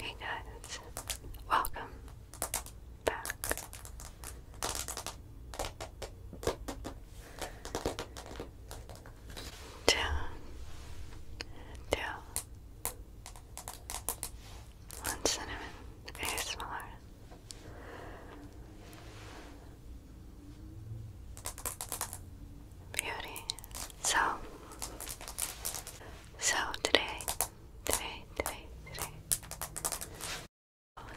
Hey guys, welcome back. Down, down. One cinnamon ASMR beauty. So, so today, today, today, today,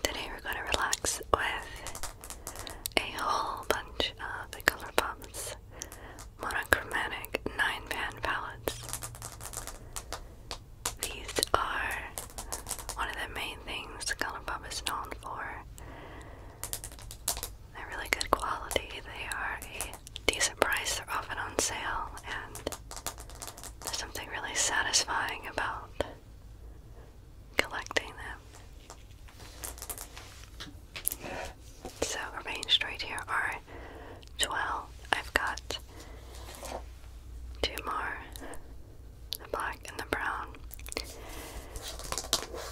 today we're gonna relax with a whole bunch of the ColourPop's monochromatic nine pan palettes. These are one of the main things the ColourPop is known for. They're really good quality. They are a decent price. They're often on sale, and there's something really satisfying about collecting them. So, arranged right here are 12. I've got two more the black and the brown.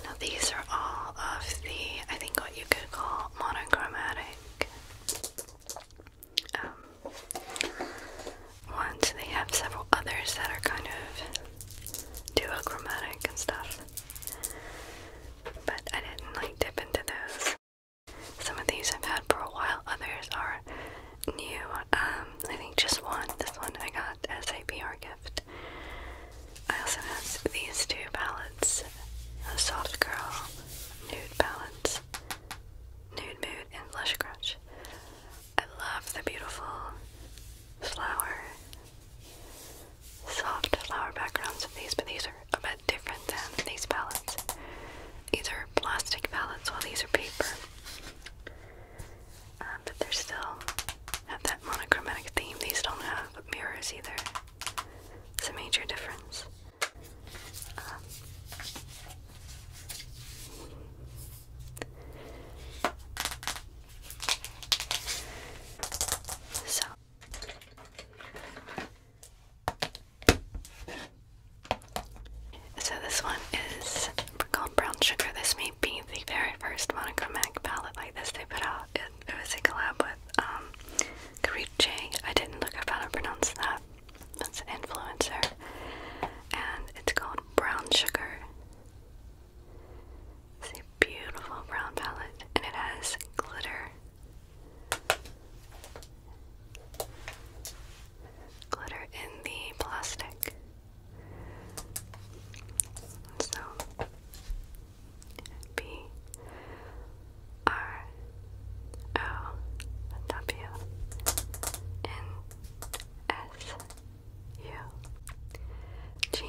Now, these are all of the, I think, what you could monochromatic. Um, ones. They have several others that are kind of duochromatic and stuff. But I didn't like dip into those. Some of these I've had for a while, others are new. Um, I think just one. This one I got as a PR gift. I also have these two palettes, a soft girl nude palettes, nude mood, and blush crutch. I love the beautiful flower, soft flower backgrounds of these, but these are a bit different than these palettes. These are plastic palettes, while these are paper. Um, but they're still have that monochromatic theme. These don't have mirrors either. It's a major difference. so so this one is called brown sugar. This may be the very first monochromatic palette like this they put out. It, was a collab with um, Kariche. I didn't look up how to pronounce that. That's an influencer. And it's called Brown Sugar. It's a beautiful brown palette and it has glitter. Glitter in the plastic. So B R O W N S U G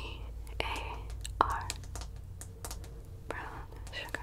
A R brown sugar.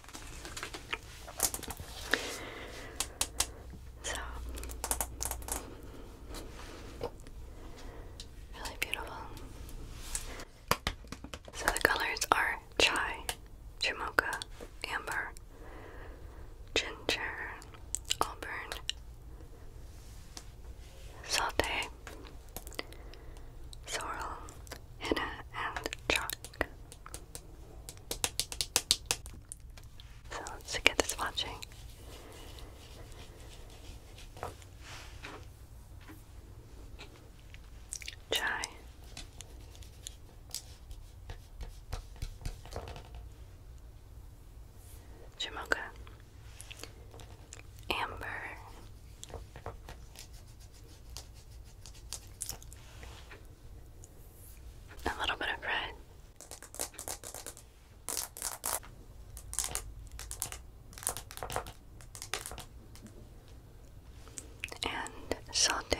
So really beautiful. So the colors are chai, jamocha, amber, ginger, auburn, saute, sorrel, henna, and chalk. So let's get this watching. Chai. Jamocha. Amber a little bit of red. And saute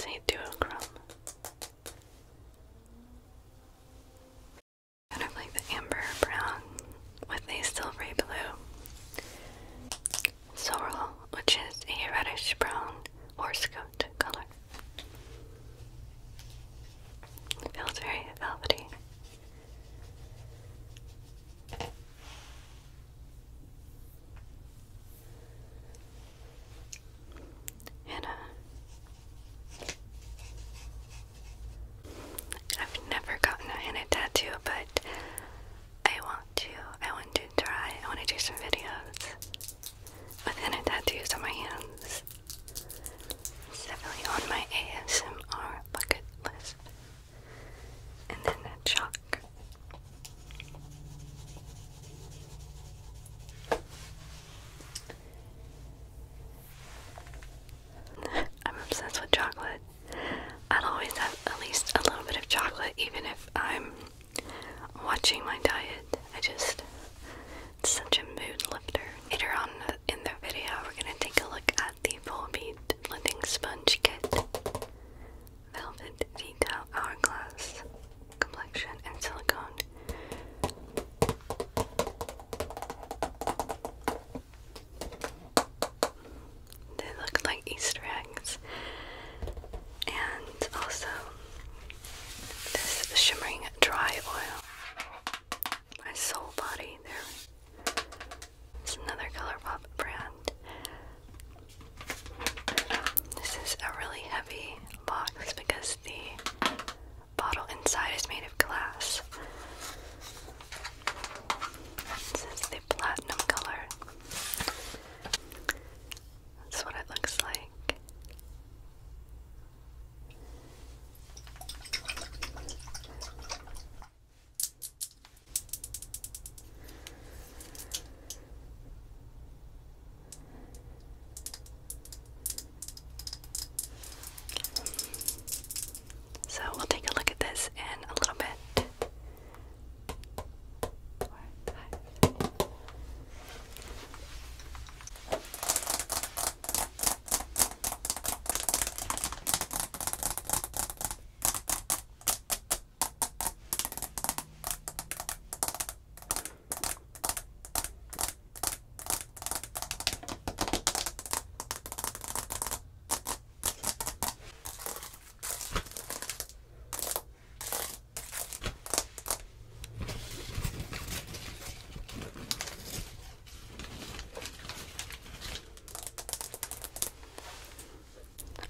say duochrome Kind of like the amber brown with a silvery blue. Sorrel, which is a reddish brown horsecoat color. feels very velvety. Hannah. Uh, I've never gotten a Hannah tattoo, but I want to. I want to try. I want to do some videos with Hannah tattoos on my hands. definitely on my ASMR bucket list. And then a chalk I'm obsessed with chocolate. I'll always have at least a little bit of chocolate, even if I'm watching my diet. I just, it's such a mood lifter. Later on in the video, we're gonna take a look at the Full Beat Blending Sponge Kit Velvet Detail Hourglass complexion and silicone. They look like Easter eggs. And also this shimmering dry oil. My soul body there. It's another ColourPop brand. This is a really heavy box because the bottle inside is made of glass. This is the platinum color. That's what it looks like. So we'll take a look at this in a little bit.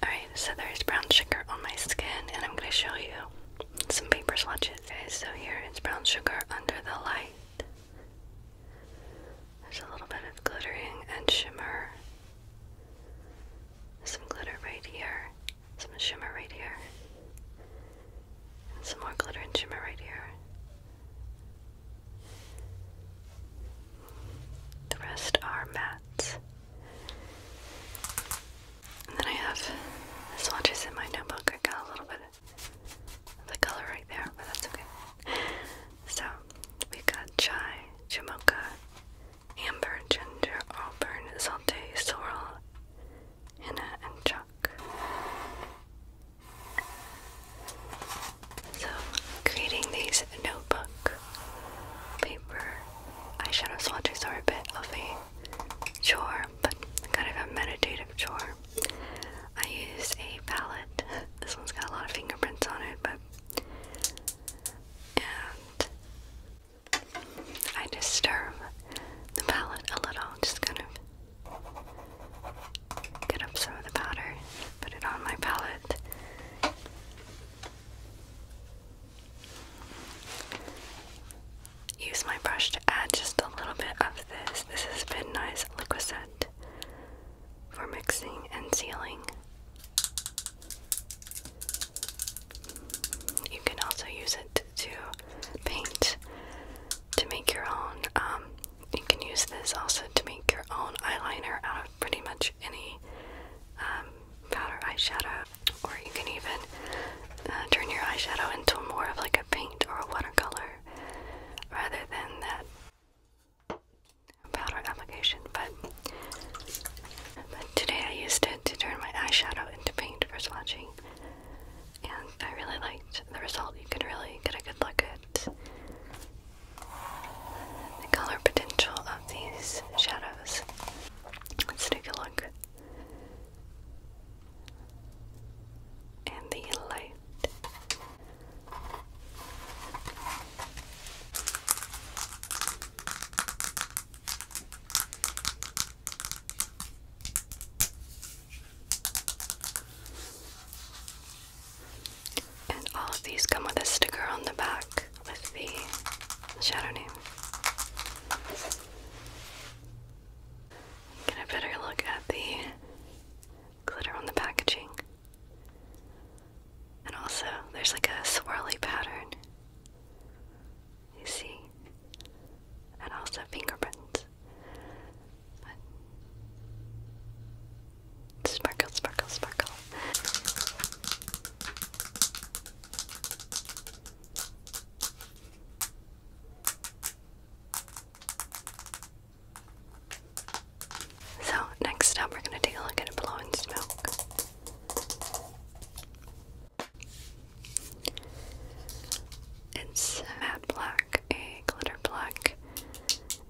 Alright, so there's brown sugar on my skin, and I'm going to show you some paper swatches. Okay, so here it's brown sugar under the light. There's a little bit of glittering and shimmer. There's some glitter right here, some shimmer right here, and some more glitter and shimmer right here. The rest are mattes. And then I have this watch is in my notebook. I got a little bit of the color right there, but that's okay. So we got chai, jamocha, amber, ginger, auburn, saute, sorrel, henna, and chalk. So creating these notebook paper eyeshadow swatches are a bit of a chore, but kind of a meditative chore. I used a palette. This one's got a lot of fingerprints on it, but. And I disturb the palette a little, just kind of get up some of the powder, put it on my palette. Use my brush to add just a little bit of this. This is Midnight's Liquisette for mixing and sealing. You can also use it to paint to make your own. Um, you can use this also to make your own eyeliner out of pretty much any um, powder eyeshadow or you can even uh, turn your eyeshadow into more of like a paint or a watercolor rather than that powder application. But, but today I used it to turn my eyeshadow into paint for swatching, and I really liked the result. You can really get a good look at the color potential of these shadows. Let's take a look and the light. And all of these come with a sticker on the back with the shadow name. Get a better look at the glitter on the packaging. And also, there's like a swirly pattern. You see? And also fingerprints. But sparkle, sparkle, sparkle. So, next up, we're going to take a look at a blowing smoke. It's matte black, a glitter black,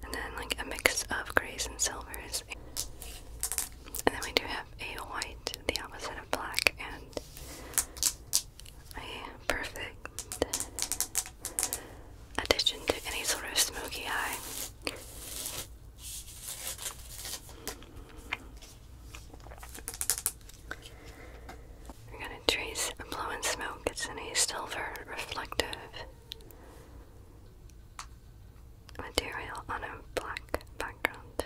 and then like a mix of grays and silvers. And then we do have a white, the opposite of black, and a perfect addition to any sort of smoky eye. We're going to trace a blowing smoke. It's in a silver reflective material on a black background.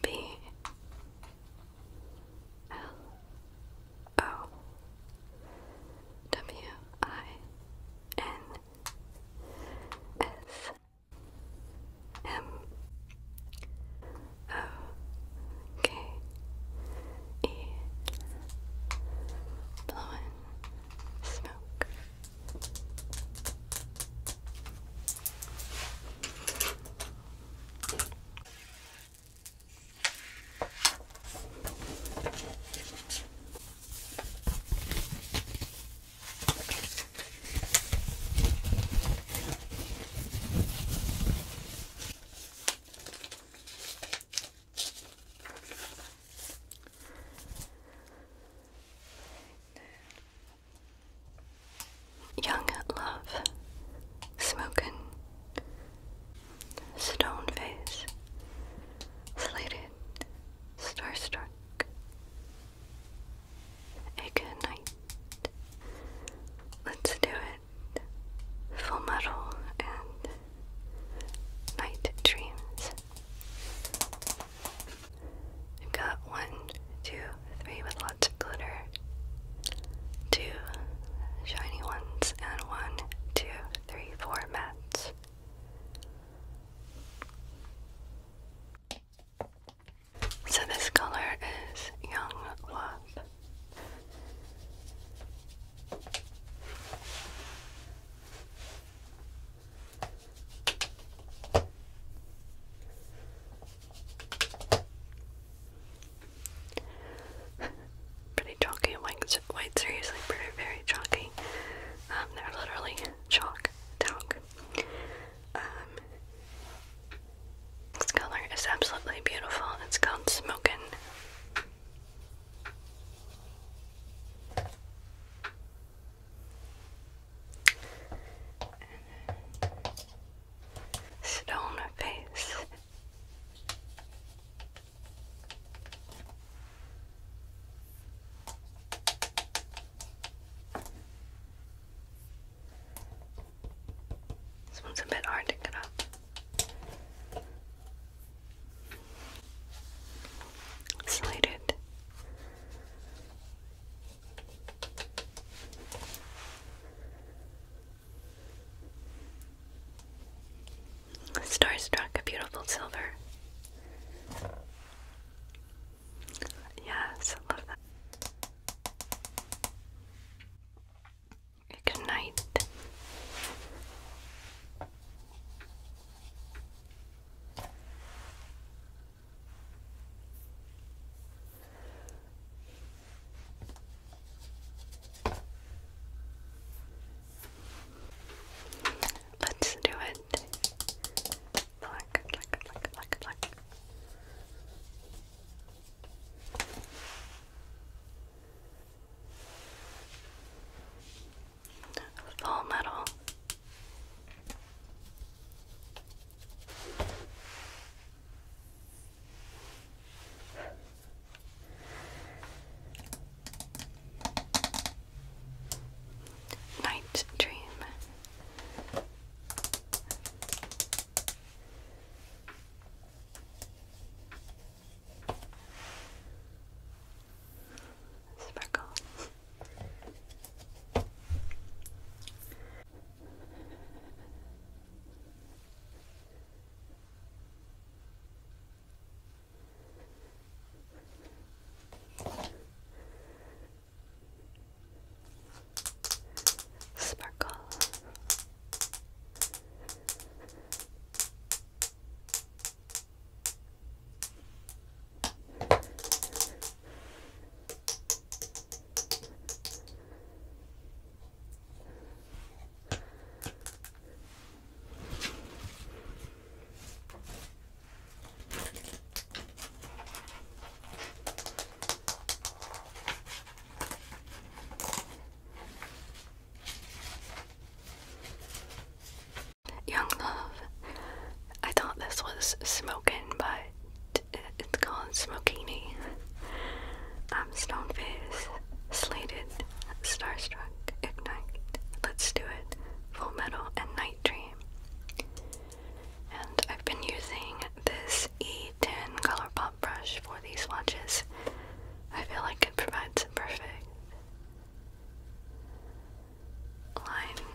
B L O W I N S M O K E blowing smoke. Young Love, smoking, Stone Face, Slated, Starstruck, a good night. Let's do it. Full metal and night dreams. got one, two, three with lots of glitter, two shiny ones, and one, two, three, four mats. So this color is Young Love. pretty chalky whites. Whites are usually very chalky. Um, they're literally chalk talc. Um, this color is absolutely beautiful. It's called Smokin'. Stone face. This one's a bit hard to get up. Slide it. Starstruck, a beautiful silver. Yes, I love that. Good night. Let's do it it. Full metal. Night Dream. Sparkle. Sparkle. Young Love. I thought this was smoking, but it's called Smokini. I'm stone faced, Slated, Starstruck, Ignite, Let's Do It, Full Metal, and Night Dream. And I've been using this E10 Colourpop brush for these swatches. I feel like it provides a perfect line.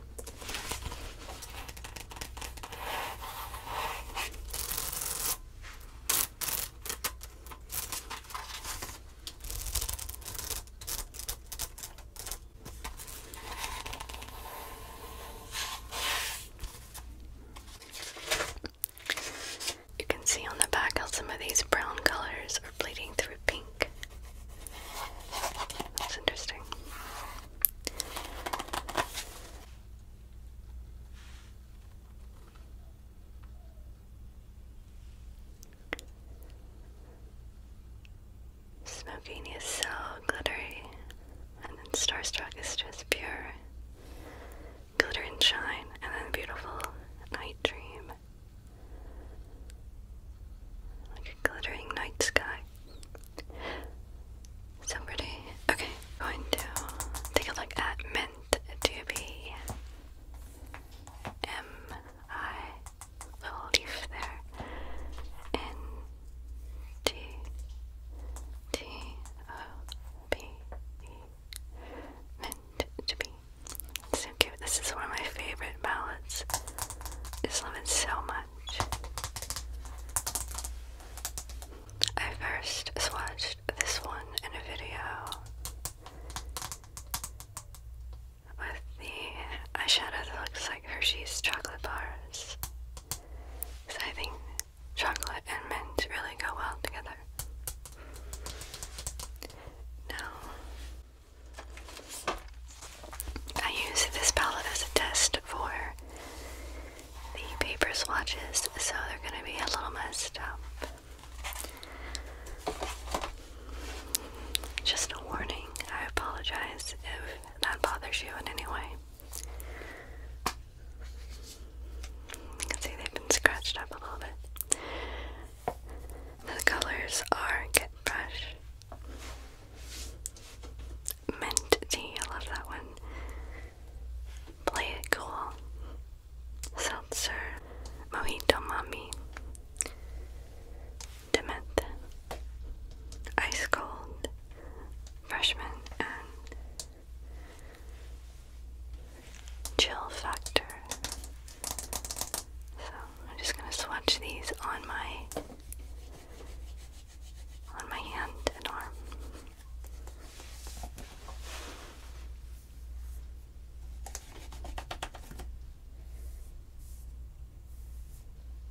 You can see on the back how some of these brown colors are bleeding through pink. That's interesting. Smoking is so glittery, and then Starstruck is just pure glitter and shine, and then beautiful night dream. Like a glittering night sky. So pretty. Okay, going to take a look at Mint to I will leave there N T T O B E meant to be. So cute. This is one of my favorite ballads. just love it so much. I first watched this one in a video with the eyeshadow that looks like Hershey's chocolate bars. Because I think chocolate and mint really go well together. Now, I use this palette as a test for the paper swatches, so they're going to be a little messed up. Just a warning, I apologize if that bothers you in any way. You can see they've been scratched up a little bit. The colors are Get Brush, Mint Tea, I love that one, Play It Cool, Seltzer, Mojito Mommy, Dement, Ice Cold, Freshman, and Chill Factor. So I'm just gonna swatch these on my on my hand and arm.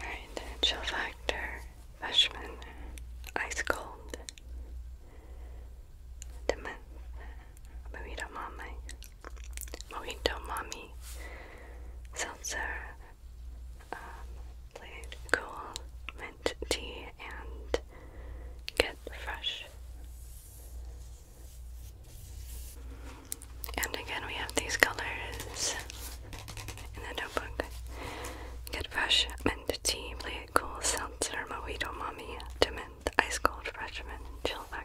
Alright, chill factor, freshman, ice cold. Dement, mojito mommy, mojito mommy, seltzer, um, cool, mint tea, and get fresh. And again, we have these colors in the notebook. Get fresh mint tea, play it cool, seltzer, mojito, mommy, to mint, ice cold, fresh mint, chill factor.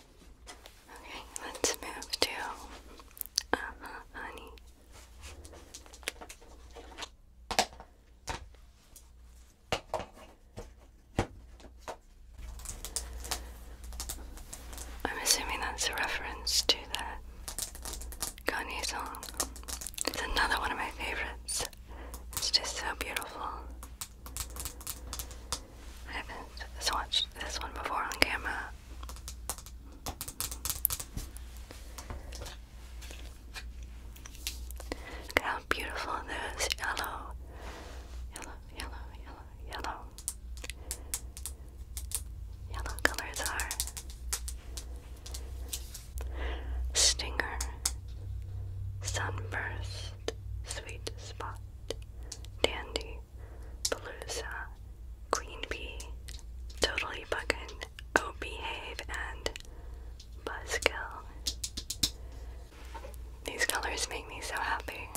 Okay, let's move to uh um, -huh, honey. I'm assuming that's a reference to that Kanye song. It's another one of my favorites. It's just so beautiful. I haven't watched this one before on camera. Look how beautiful those yellow, yellow, yellow, yellow, yellow, yellow colors are. Stinger, sunburst, sweet spot, dandy, Palooza, Queen Bee, Totally Buckin', Oh Behave, and Buzzkill. These colors make me so happy.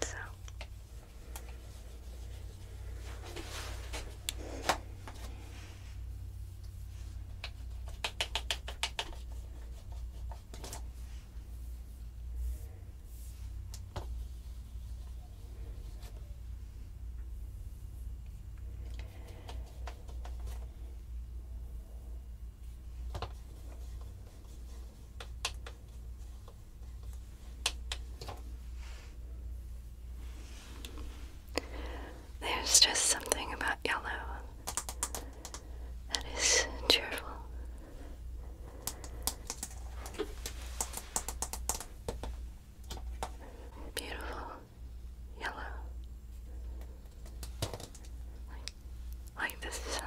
So. There's just something about yellow that is cheerful. Beautiful yellow. Like, the sun.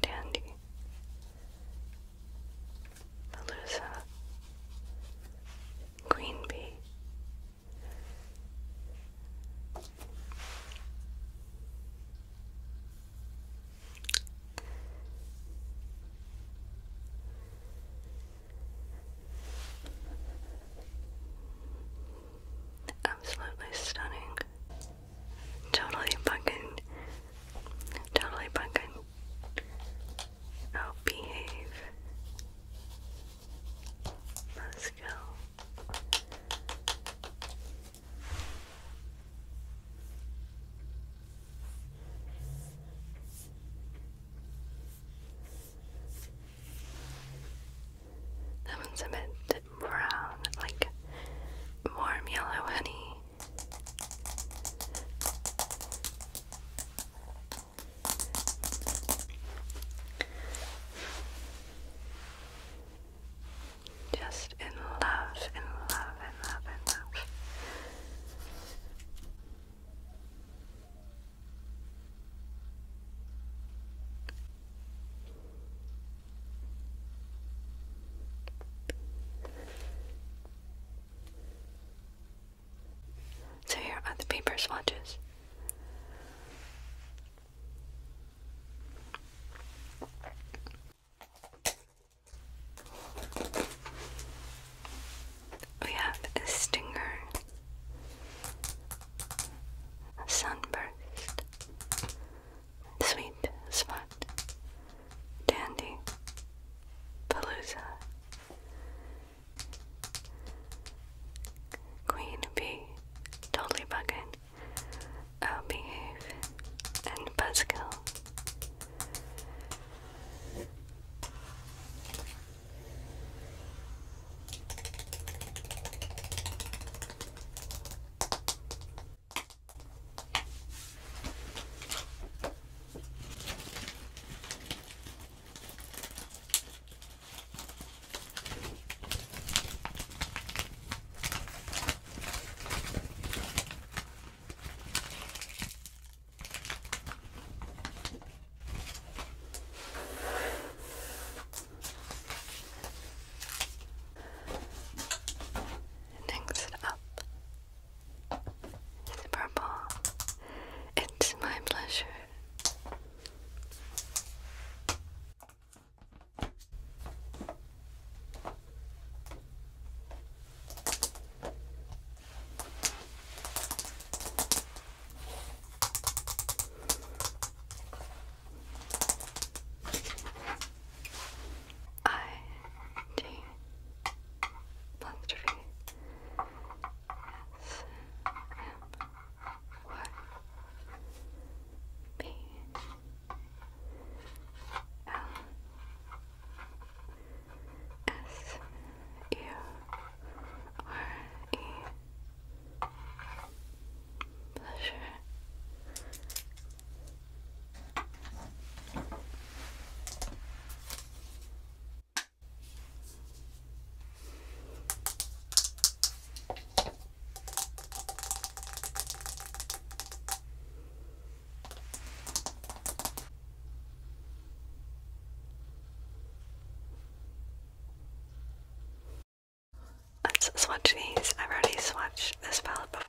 Dandy. Palooza. Queen bee. Absolutely stunning. Totally fucking, totally fucking. Oh, behave. Let's go. That one's a bit brown, like warm yellow honey. Just in love, in love, in love, in love. So here are the paper swatches. We have a stinger, a sunburst, sweet spot, dandy, palooza, queen bee, totally bugging, Obehave, and Buzzkill. Next up is purple. It's my pleasure. I D apostrophe S M what? B. L. S. U. R. E. Pleasure. Let's swatch these. I've already swatched this palette before.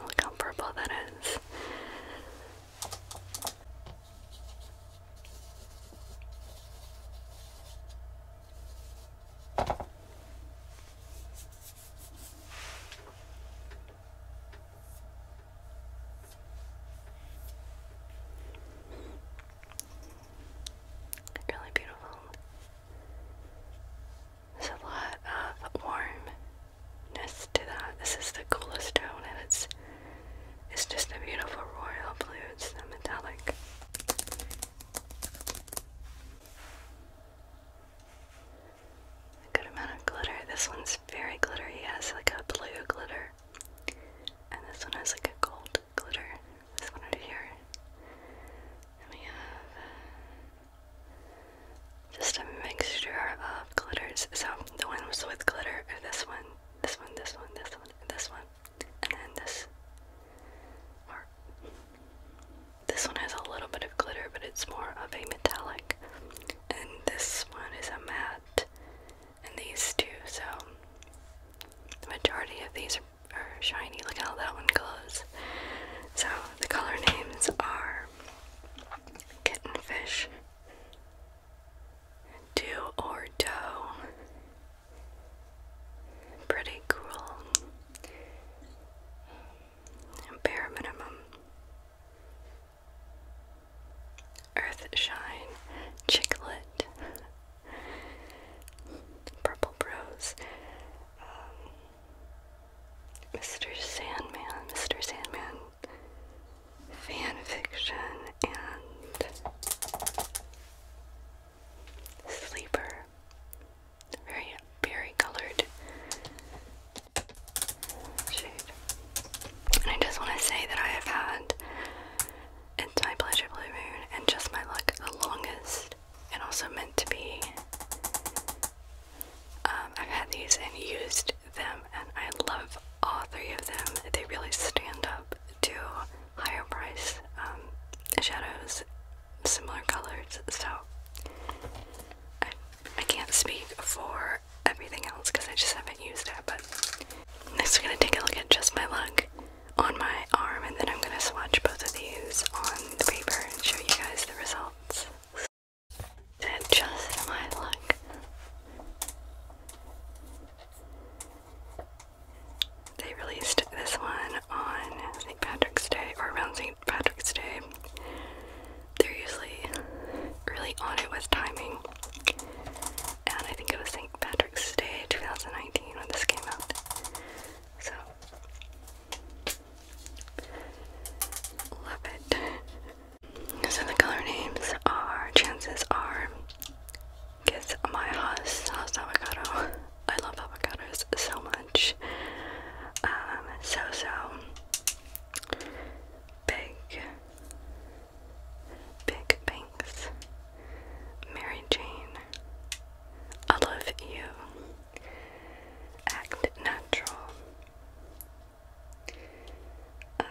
Look how purple that is. Really beautiful. There's a lot of warmness to that. This is the coolest tone and it's it's just a beautiful royal blue. It's the metallic. good amount of glitter. This one's very glittery. It has like a blue glitter. And this one has like a gold glitter. This one right here. And we have just a mixture of glitters. So the one with glitter, and this one, this one, this one, this one, and then this. Or this one has a little bit of glitter, but it's more of a metallic. And this one is a matte. And these two, so the majority of these are shiny. Look how that one glows. So the color names are Kittenfish. Do or do. Pretty cool. Bare minimum. Earthshine. Chicklet. Purple Bros. Um, Mr. Sandman, Mr. Sandman fan fiction and sleeper. Very berry colored shade. And I just want to say that I have had It's My Pleasure Blue Moon and Just My Luck the longest and also meant to be um, I've had these and used them, and I love all three of them. They really stand up to higher price um, shadows, similar colors. So I, I can't speak for everything else because I just haven't used it. But next, we're gonna take a look at just my look on my arm, and then I'm gonna swatch both of these on the paper and show you guys the results they just my luck. They released this one on St. Patrick's Day or around St. Patrick's Day. They're usually really on it with timing. And I think it was St. Patrick's Day 2019 when this came out. So, love it. So the color names are, chances are, Kiss My House, House Avocado. I love avocados so much. Um, so so big, big banks. Mary Jane. I love you. Act natural um,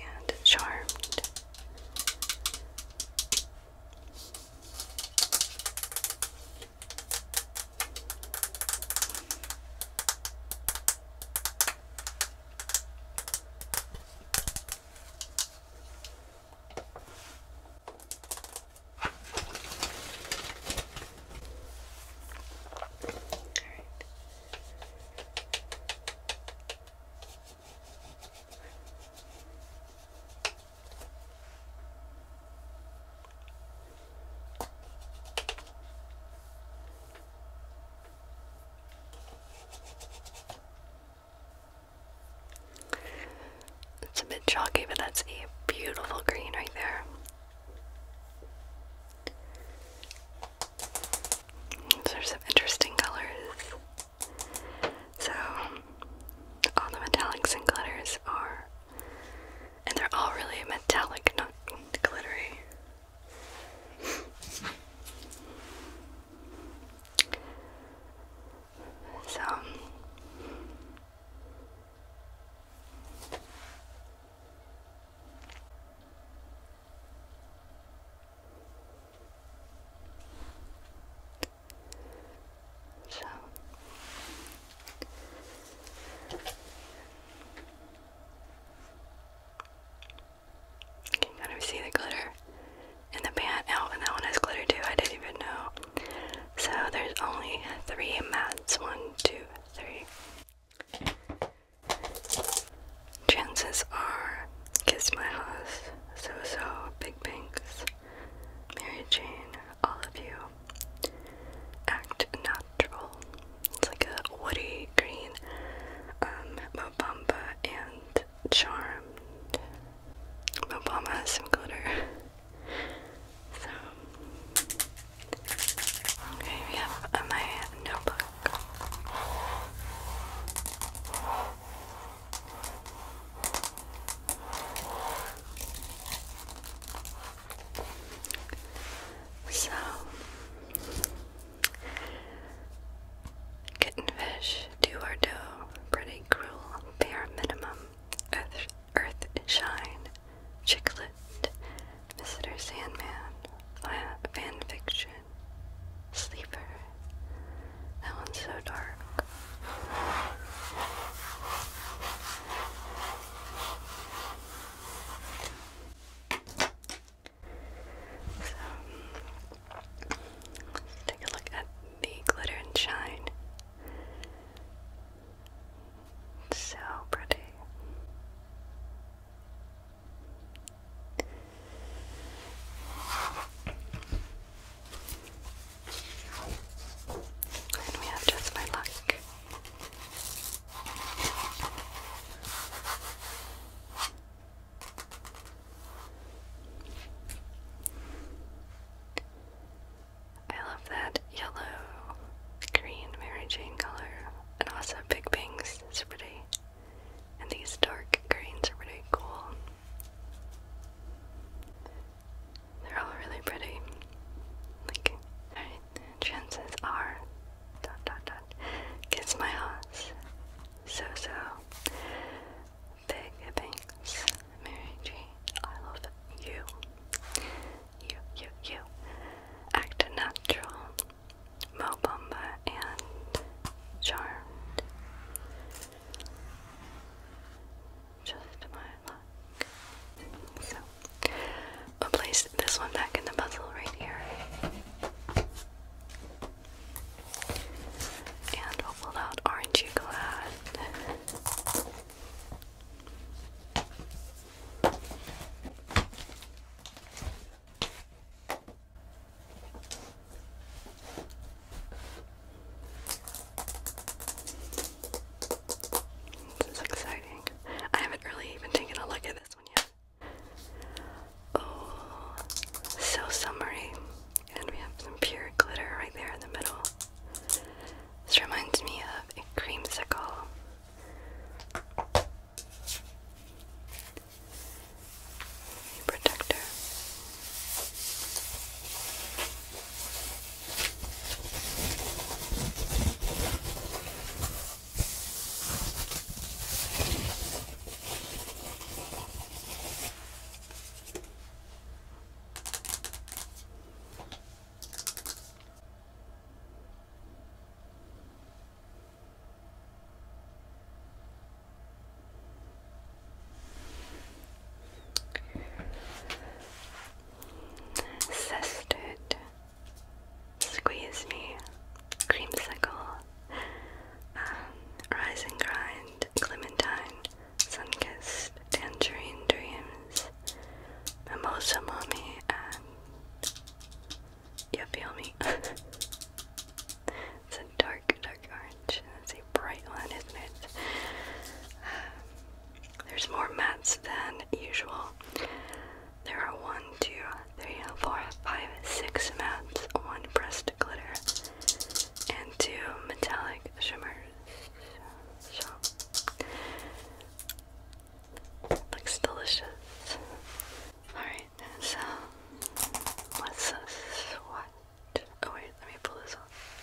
and Charmed. It's a bit chalky, but that's a beautiful green right there. There's some interesting colors. So, all the metallics and glitters are, and they're all really metallic, not glittery. So, so you can kind of see the glitter in the pan. Oh, and that one has glitter too. I didn't even know. So there's only three mats. One, two, three, Chances are Kiss My Hoss, So So, Big Banks, Mary Jane, all of you. Act natural. It's like a woody green, um, Mobamba and Charmed. Bobamba, has some glitter. So, okay, we have my notebook. So, kittenfish do or do pretty cruel bare minimum Earth Shine, Chicklet, Visitor Sandman, Fan Fiction, Sleeper. That one's so dark. So, let's take a look at the glitter and shine. It's so pretty. And we have just my luck. I love that yellow, green Mary Jane color, and also Big Bang's is pretty. And these dark greens are pretty cool. They're all really pretty. Like, chances are, dot dot dot, kiss my odds. So so, Big Banks, Mary Jane, I love you you, you, you. Act Natural, Mo and Charmed. Just my luck. So, we'll place this one back in the puzzle right here. And we'll pull out Aren't You Glad? This is exciting. I haven't really even taken a look at this one yet. Oh, so summery. And we have some pure glitter right there in the middle. This reminds me of a creamsicle a protector. Custard, squeeze me, creamsicle, um, rise grind, clementine, sunkissed, tangerine dreams, mimosa mommy, and um, you feel me? it's a dark, dark orange. It's a bright one, isn't it? there's more mats than usual. There are one, two, three, four, five, six mats. One pressed glitter and two metallic shimmers. Looks delicious. Alright, so what's this? What? Oh wait, let me pull this off.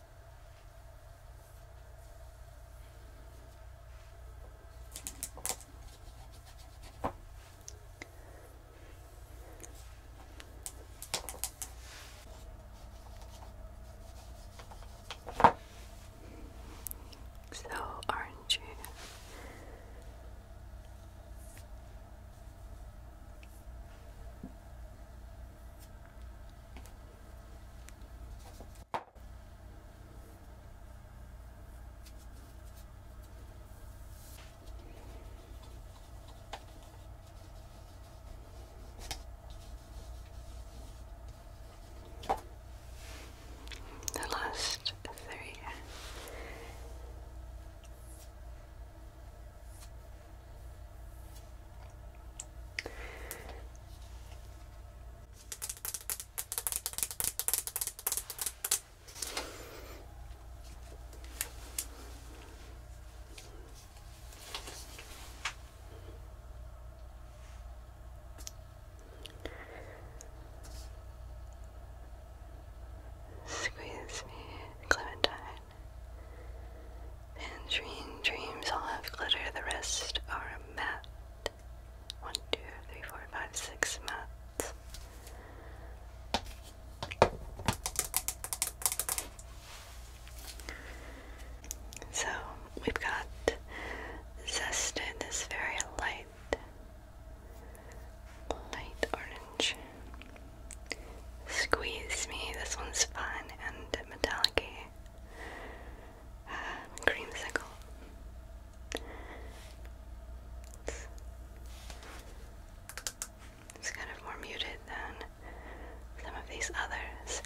So, aren't you the last three. Squeeze me, Clementine. Tangerine dreams all have glitter, the rest are matte. One, two, three, four, five, six mats. So we've got zested this very light, light orange. Squeeze me. This one's fun and metallic creamsicle. It's, kind of more muted than some of these others.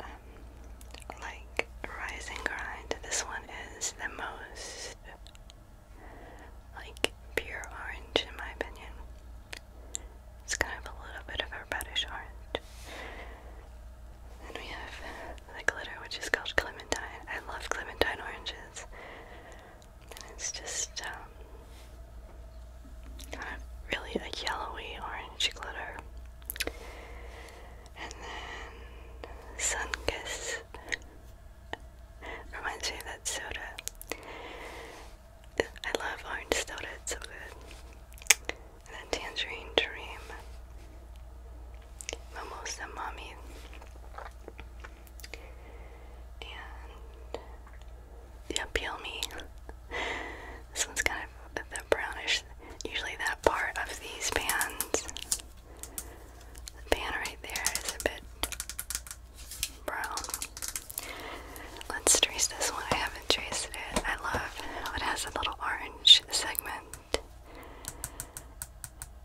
Um, like Rise Grind, this one is the most like pure orange in my opinion. It's kind of a little bit of a reddish orange. Then we have the glitter, which is called Clementine. I love Clementine oranges. And it's just kind um, of really a yellowy orange glitter. And then Sunkist. Reminds me of that soda. I love orange soda, it's so good and a tangerine dream. Mimosa Mommy. And yeah, peel me. this one's kind of the brownish, usually that part of these pans. The pan right there is a bit brown. Let's trace this one. I haven't traced it. I love it has a little orange segment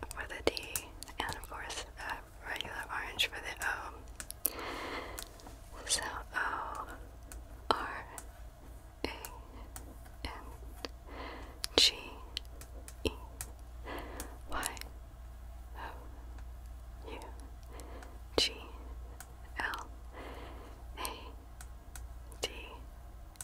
for the D, and of course uh, regular orange for the O. So O, R, A, N, G, E, Y, O, U, G, L, A, D,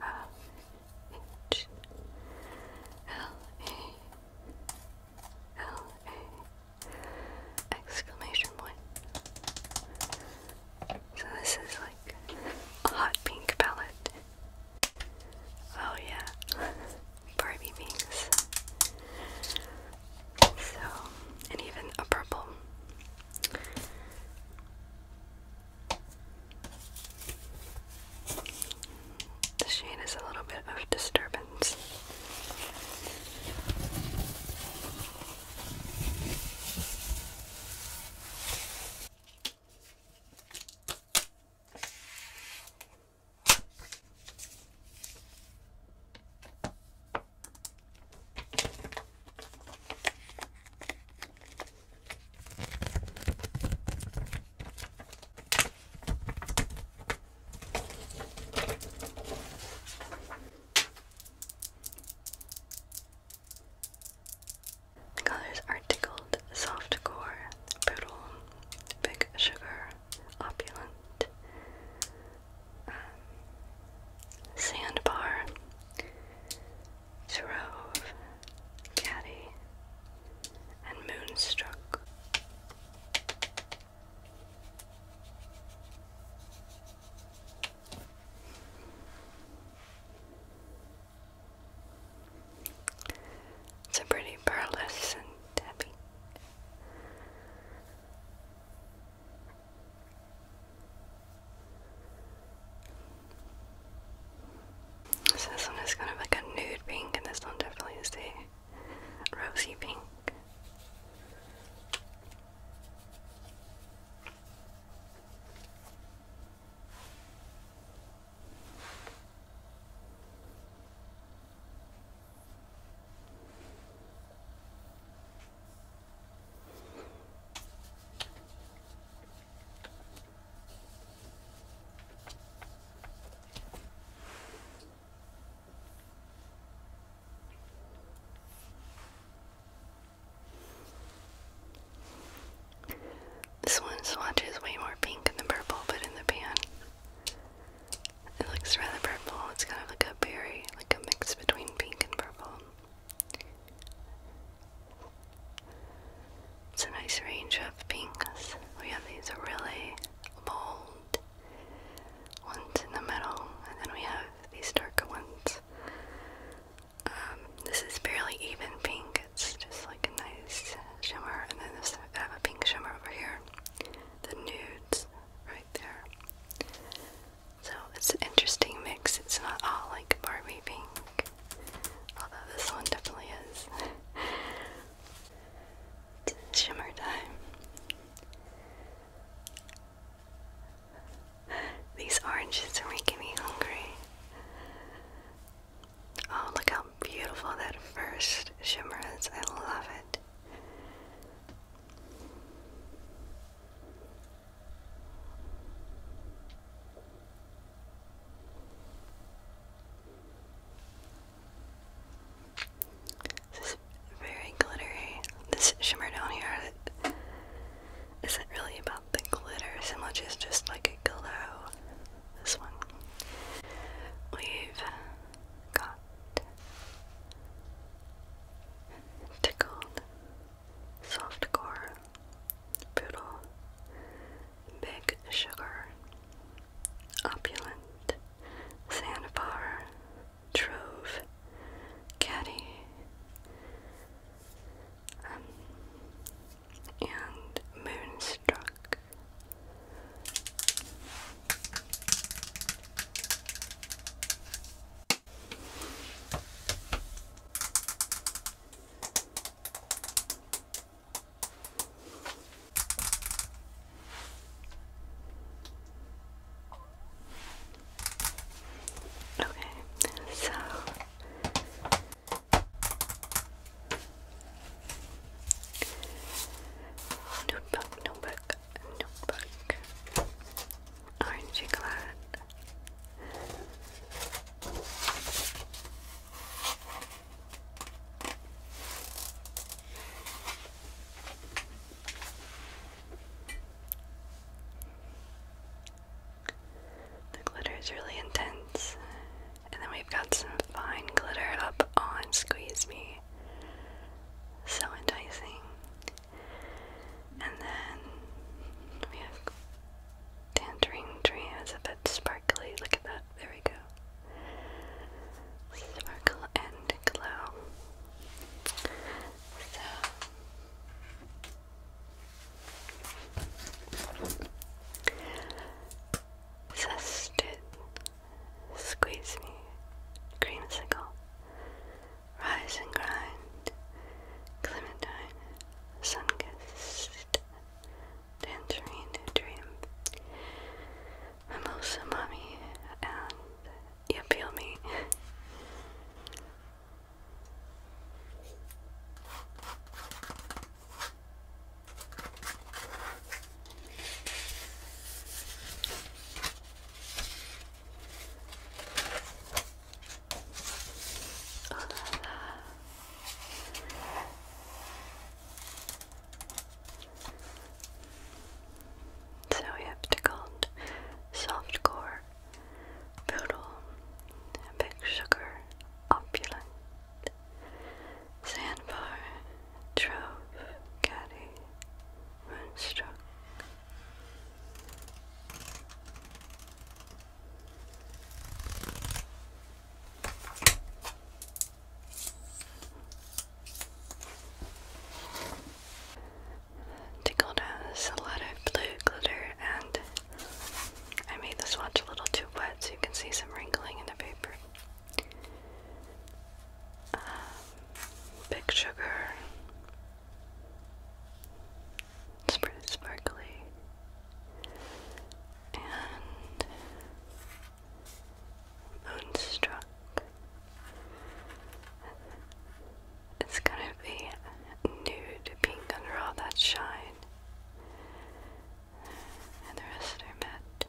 R H L A L A exclamation point. So this is like a hot pink palette. Oh yeah, Barbie pinks. So, and even a purple. The shade is a little bit of disturbance. The colors are tickled, soft core, poodle, big sugar, opulent, um, sandbar, Trove, Caddy, and Moonstruck. It's a pretty pearlescent Debbie. So this one is kind of like a nude pink, and this one definitely is a rosy pink. This one swatch is way more pink than purple, but in the pan. It looks rather purple. It's kind of like a berry, like a mix between pink and purple. It's a nice range of pinks. We have these really bold ones in the middle, and then we have these darker ones. Um, this is barely even pink, it's just like a nice shimmer, and then this, I have a pink shimmer over here. The nudes right there. So it's an interesting mix. It's not all like Barbie pink. Although this one definitely is. shimmer time. These oranges are making me hungry. Oh, look how beautiful that first shimmer is. I love it. This is very glittery. This shimmer down here isn't really about the glitter it's much as just like a glow. This one. We've got Tickled, core Poodle, Big Sugar, Opulent, Sandbar, Trove, Caddy, um, and Moonstruck. Okay, so notebook, notebook, notebook, orangey glad. The glitter is really intense. And then we've got some fine glitter up on Squeeze Me. So enticing. And then we have Tangerine Tree as a sparkly. Look at that. There we go. Sparkle and glow. So. squeeze me, creamsicle, rise and grind, clementine, sun kissed, tangerine dream. I'm also mommy, and you feel me. Oh, All so we have tickled, soft core, poodle, big sugar, opulent, sandbar, trove, caddy, moonstruck. Tickled has a lot of blue glitter and I made the swatch a little too wet so you can see some wrinkling in the paper. Um, big sugar. It's pretty sparkly. Moonstruck. It's gonna be nude pink under all that shine. And the rest are matte.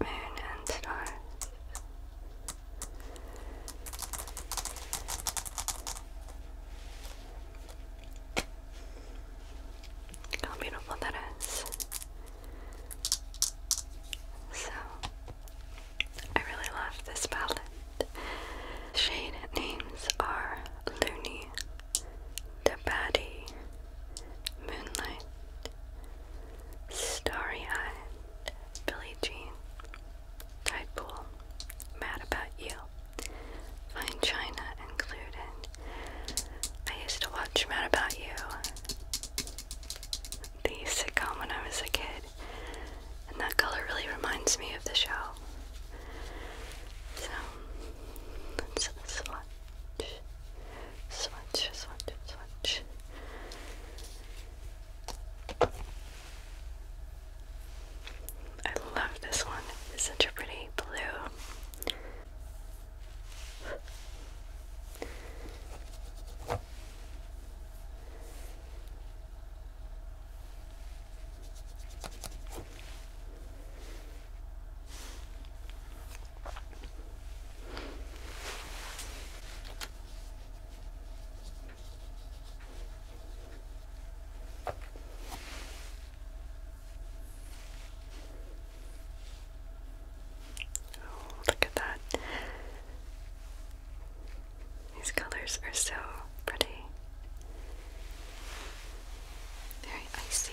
moon and stars. How beautiful that is. So, I really love this palette. Shade names are Looney, Dabaddy, Moonlight, Starry Eyed, Billie Jean, Deadpool, Mad About You, Fine China included. I used to watch Mad About You, the sitcom when I was a kid, and that color really reminds me of the show. So, let's swatch, swatch, I love this one. It's such a pretty blue look at that. These colors are so pretty. Very icy.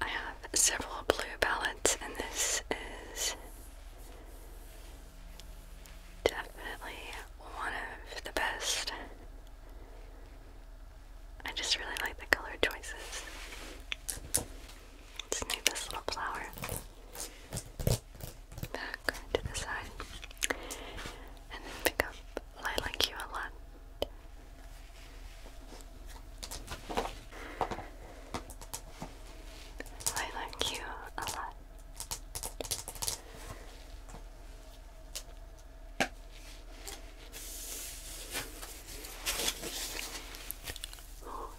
I have several blue palettes, and this is definitely one of the best. I just really like the color choices. Let's move this little flower back to the side and then pick up Lilac You a lot I like you a lot.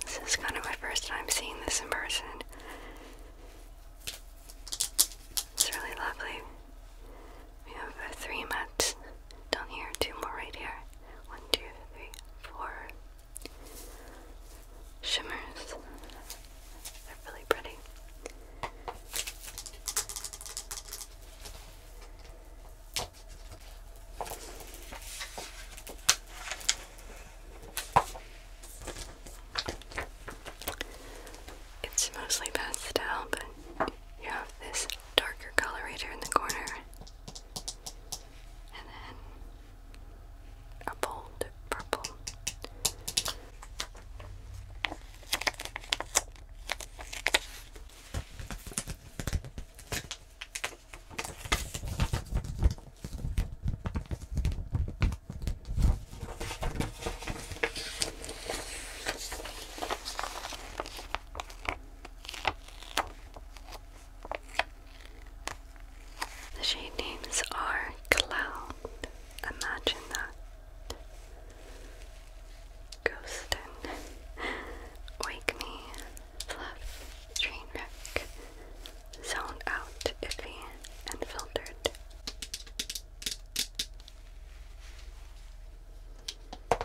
this is kind of my first time seeing this in person. It's really lovely. We have three mats down here, two more right here. One, two, three, four shimmers. They're really pretty. It's mostly pastel, but you have this darker color in the corner and then a bold purple. The shade names are Cloud, Imagine That, Ghostin, Wake Me, Fluff, Trainwreck, Zoned Out, Iffy, and Filtered.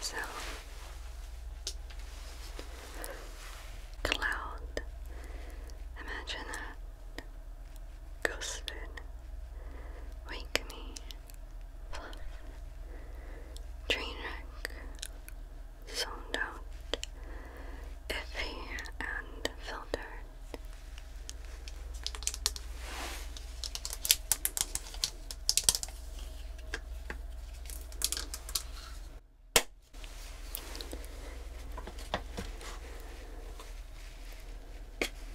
So cloud, imagine that ghosted Wake Me, Fluff, Trainwreck, Zoned Out, Iffy, and Filtered. Alright,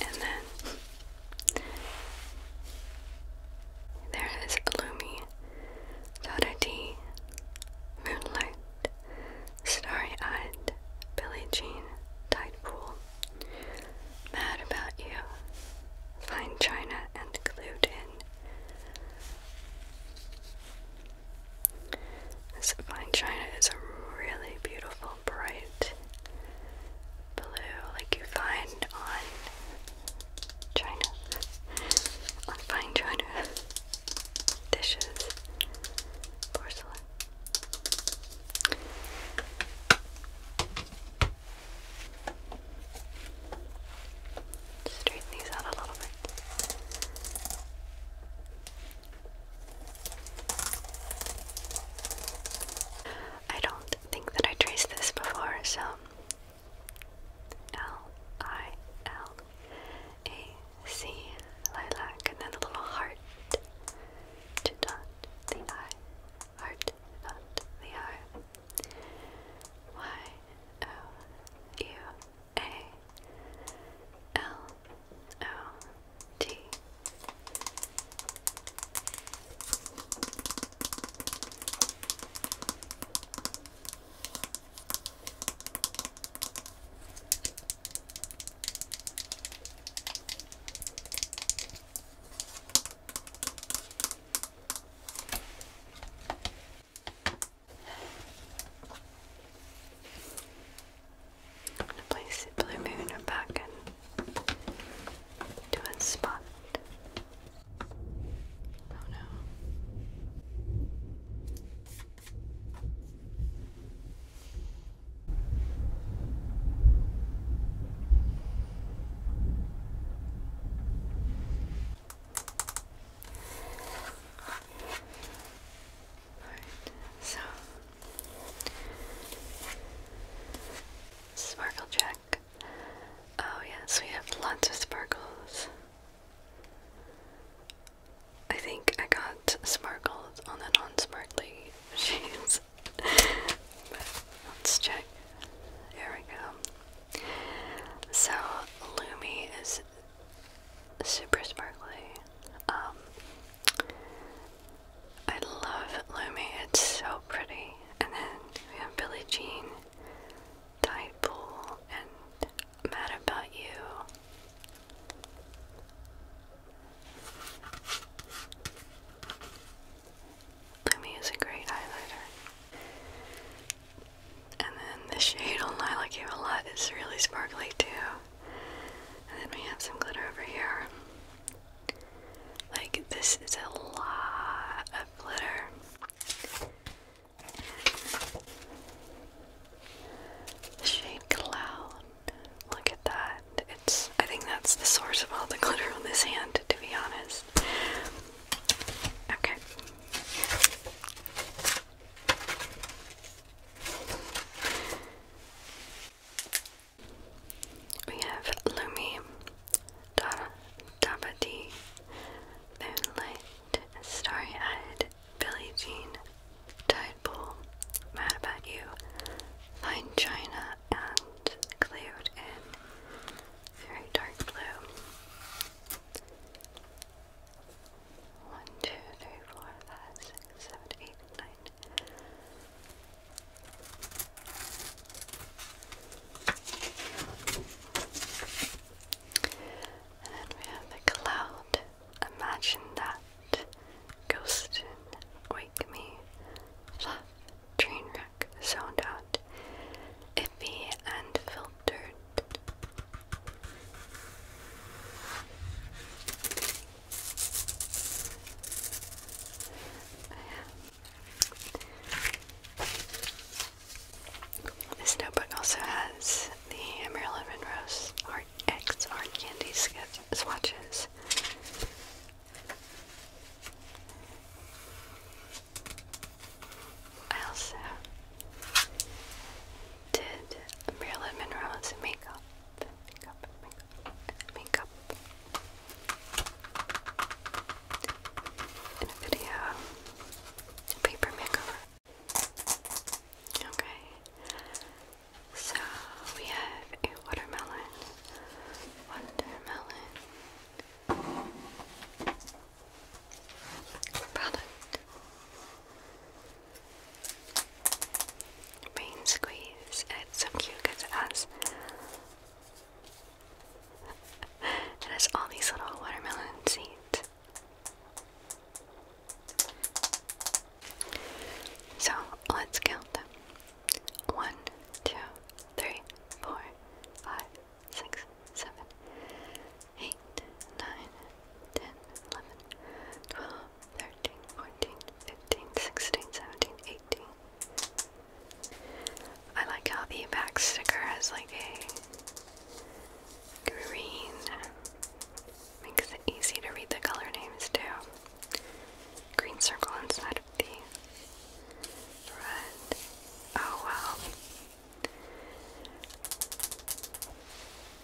and then there is Lumi, Daughter D, Moonlight, Starry Eyed, Billie Jean, Tide Pool, Mad About You, Fine China, and Clued this fine china is a really beautiful, bright blue, like you find on china, on fine china dishes, porcelain straighten these out a little bit. I don't think that I traced this before, so L I L A C lilac and then a little heart dot the eye. Heart dot the eye. Y O U A L O T. I'm gonna place the blue moon back in to its spot. Oh no. Alright, so sparkle check. Oh yes, we have lots of sparkles. I think I got sparkles on the non smartly shades. let's check. There we go. So Lumi is super sparkly. Um, I love Lumi. It's so pretty. And then we have Billie Jean, Tide and Mad About You. Lumi is a great highlighter. And then the shade on Lilac Gave a Lot is really sparkly too. And then we have some glitter over here. Like, this is a lot of glitter. The shade Cloud. Look at that. It's, I think that's the source of all the glitter on this hand, to be honest. Okay. We have Lumi, Dabadi, Moonlight, Starry Eyed, Billie Jean, Tidepool, Mad About You, Fine China, and Cloud in Very Dark Blue. 1, 2, 3, 4, 5, 6, 7, 8, 9. And we have the cloud. Imagine that. Ghost, wake me. Fluff, train wreck, zoned out. Iffy and filtered this notebook also has the Marilyn Monroe's art X art candy sketch swatches. I also did Marilyn Monroe's makeup. Makeup, makeup, In a video, paper makeover. Okay, so we have a watermelon, watermelon, product. Rain squeeze. It's so cute because it has it has all these little watermelon seeds. So let's count them. One, two, three, four, five, six, seven, 8, thirteen, fourteen, fifteen, sixteen, seventeen, eighteen. I like how the back sticker has like a green. Makes it easy to read the color names too. Green circle inside of the red. Oh wow.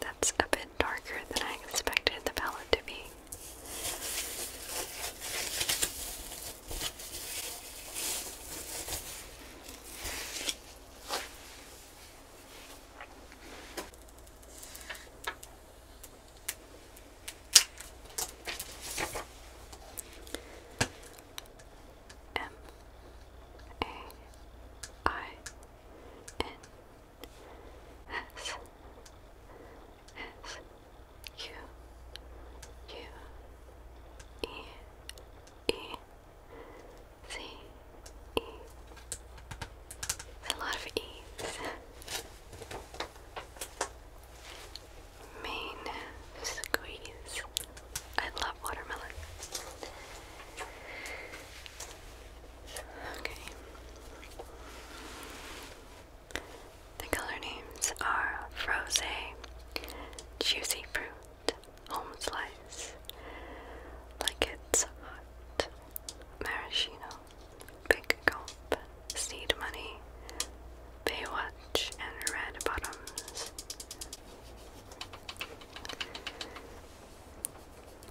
That's a bit darker than I expected the palette to be. M A I N S S Q U E E Z E. It's lot of E's. Main squeeze. I love watermelon. Okay. The color names are Froze, Juicy Fruit, Home Slice, Like It's Hot, Maraschino, Big Gulp, Seed Money, Baywatch, and Red Bottoms.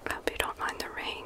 I hope you don't mind the rain.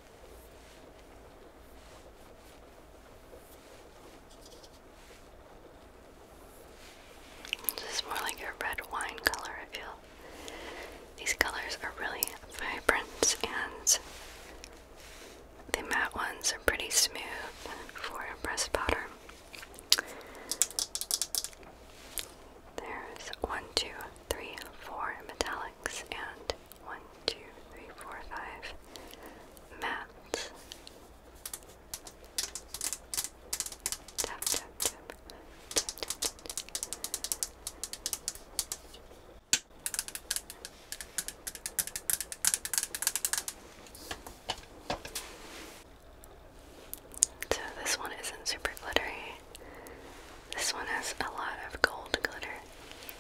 This is more like a red wine color, I feel. These colors are really vibrant and the matte ones are pretty smooth for a pressed powder. There's one, two, three, four metallics and one, two, three, four, five mats. So this one isn't super glittery. This one has a lot of gold glitter.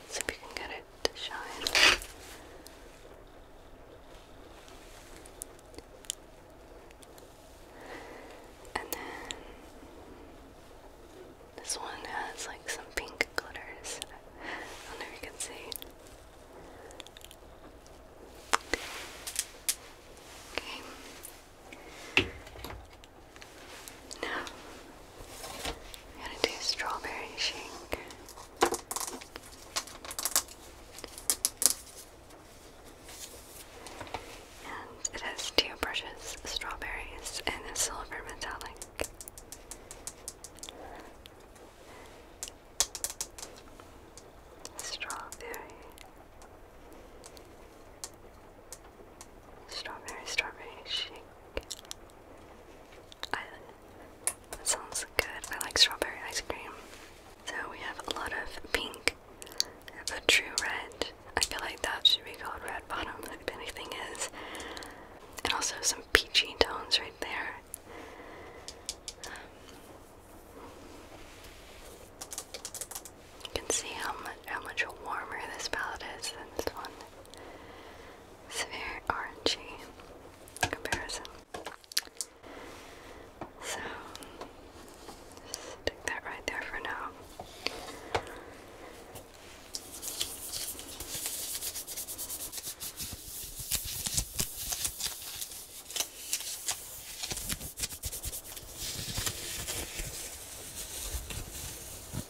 See if you can get it to shine. And then this one has like some pink glitters. I do if you can see. Okay, now, I'm gonna do strawberry shake. And it has two precious strawberries in a silver metallic. Strawberry Strawberry, strawberry shake. that sounds good. I like strawberry ice cream. So we have a lot of pink. We a true red. I feel like that should be called red bottom if anything is. And also some peachy tones right there. You can see how much, how much warmer this palette is than this one. It's orangey comparison. So, stick that right there for now.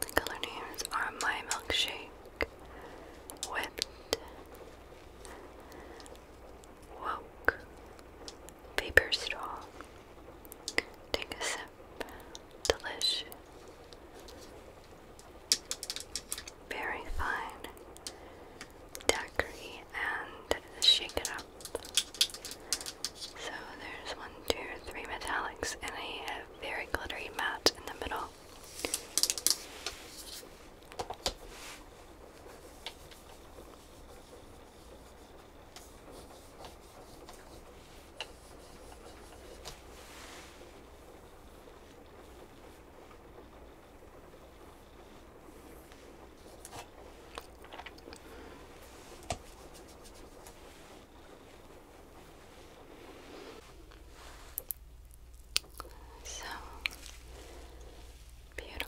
The color names are My Milkshake, Whipped, Woke, Paper Straw, Take Delish, Very Fine, Daiquiri, and Shake It Up. So there's one, two, three metallics, and I have very glittery matte in the middle. So beautiful.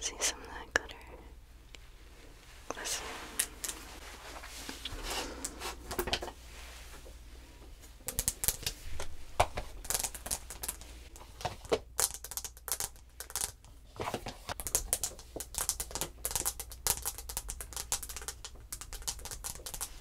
See some of that glitter glisten.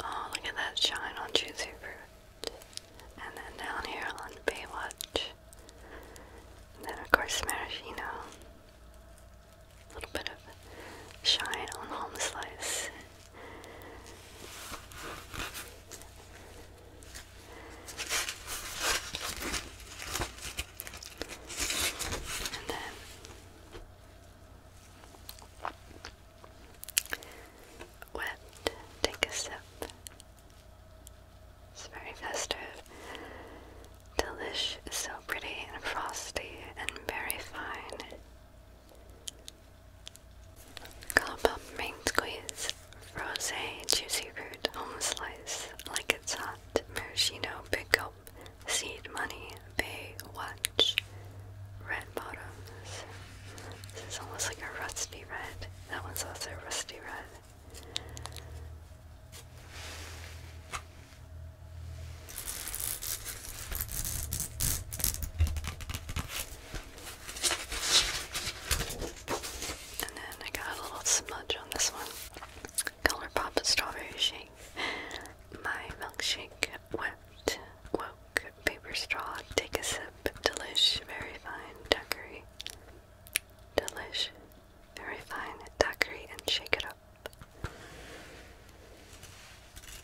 Oh, look at that shine on Juicy Fruit. And then down here on Baywatch. And then, of course, Maraschino. A little bit of shine on Home Slice. And then wet, take a sip. It's very festive. Delish so pretty and frosty and very fine. Cop up main squeeze. Rose juicy fruit home slice like it's hot. Maraschino big Seed Money, watch Red Bottoms. This is almost like a rusty red. That one's also rusty red. And then I got a little smudge on this one. Colourpop Strawberry Shake. My milkshake wept, woke, paper straw, take a sip, delish, very fine, daiquiri. Delish, very fine, daiquiri, and shake it up.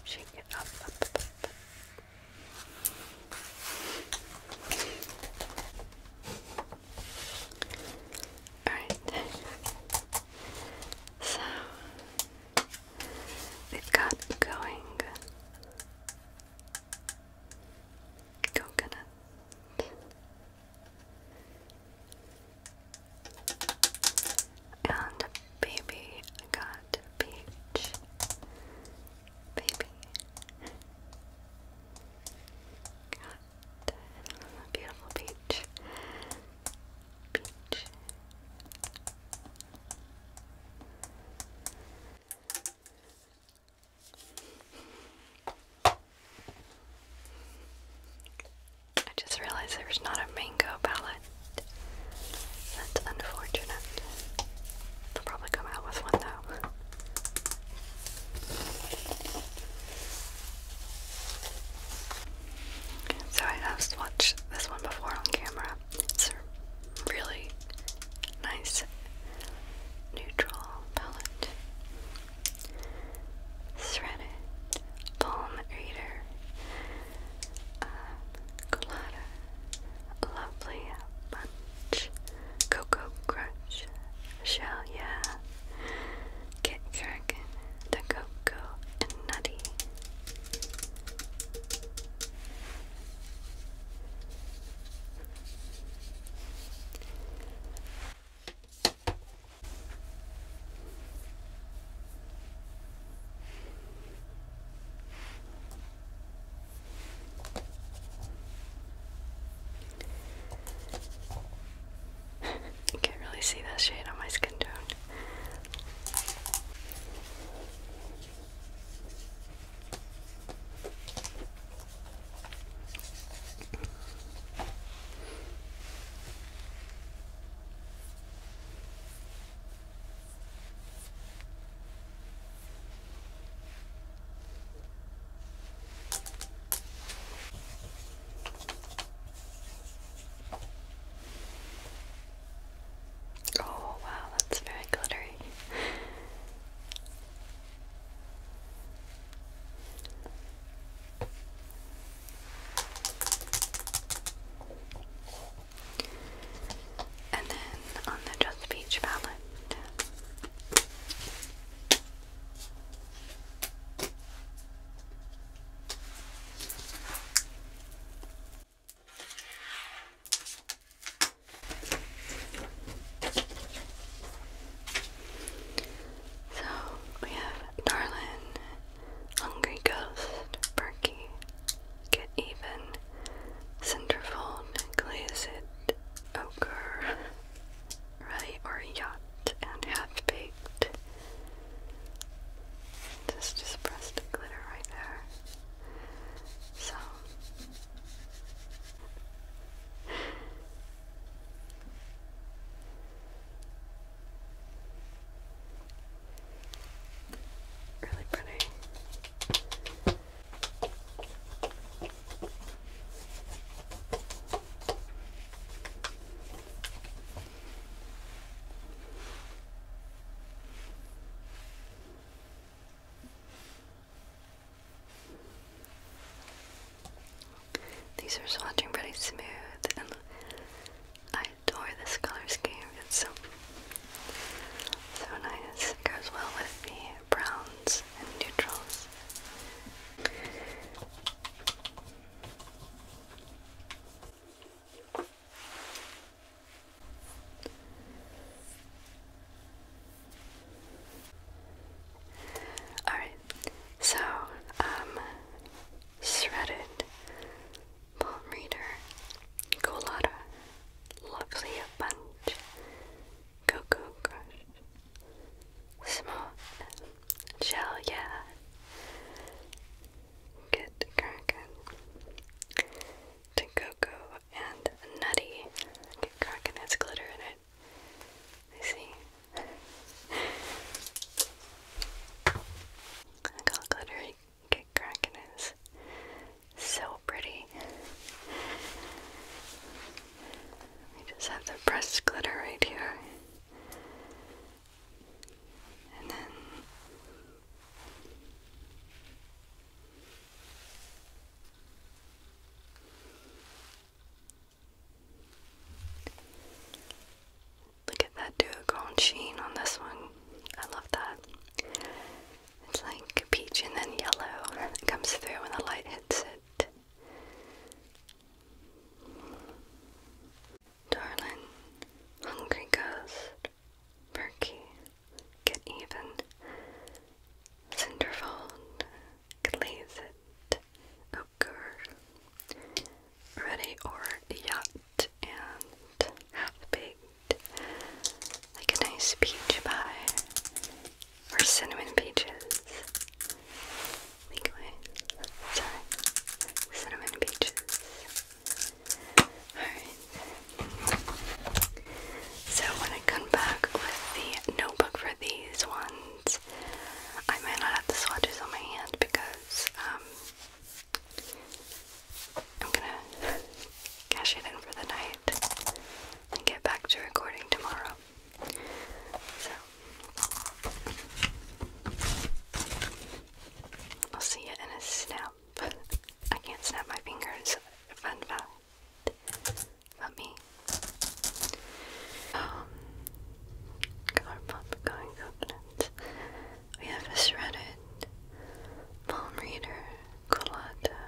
Shake it up. Alright. So we've got going coconut. And baby got peach. Baby got Beautiful beach. Beach. I just realized there's not a mango palette. That's unfortunate. They'll probably come out with one though. So I have swatched this one before on camera. It's a really nice neutral palette. Threaded Palm Reader, uh, Colada, Lovely Bunch, Cocoa Crunch, Shell Yeah, Get Kraken, the Cocoa, and Nutty. I can't really see that shade on my skin tone. Oh, wow, that's very glittery. And then on the Just Beach palette. So we have Darlin, Hungry Ghost, Perky, Get Even, Centerfold, Glaze It, Ochre, or Yacht, and Half Baked. Just just press the glitter right there. So really pretty. These are swatching pretty smooth, and I adore this color scheme. It's so so nice. It goes well with the browns and neutrals. All right, so um, shredded palm reader, colada, lovely bunch, cocoa crush, small shell, get cracking to cocoa and nutty. Get cracking, has glitter in it. I see. I call get cracking is so pretty. We just have the pressed glitter right here look at that duochrome sheen on this one. I love that. It's like peach and then yellow. It comes through when the light hits it. Darling, hungry ghost, perky, get even, cinderfold, glaze it, ochre, ready or yacht, and half baked, like a nice peach pie, or cinnamon peaches. Make away. Sorry. Cinnamon peaches. Alright. So when I come back with the notebook for these ones, I might not have the swatches on my hand because um, I'm gonna cash it in for the night and get back to recording tomorrow. So I'll see you in a snap. I can't snap my fingers. Fun fact about me. Um, Colourpop going coconut. We have shredded palm reader, colada,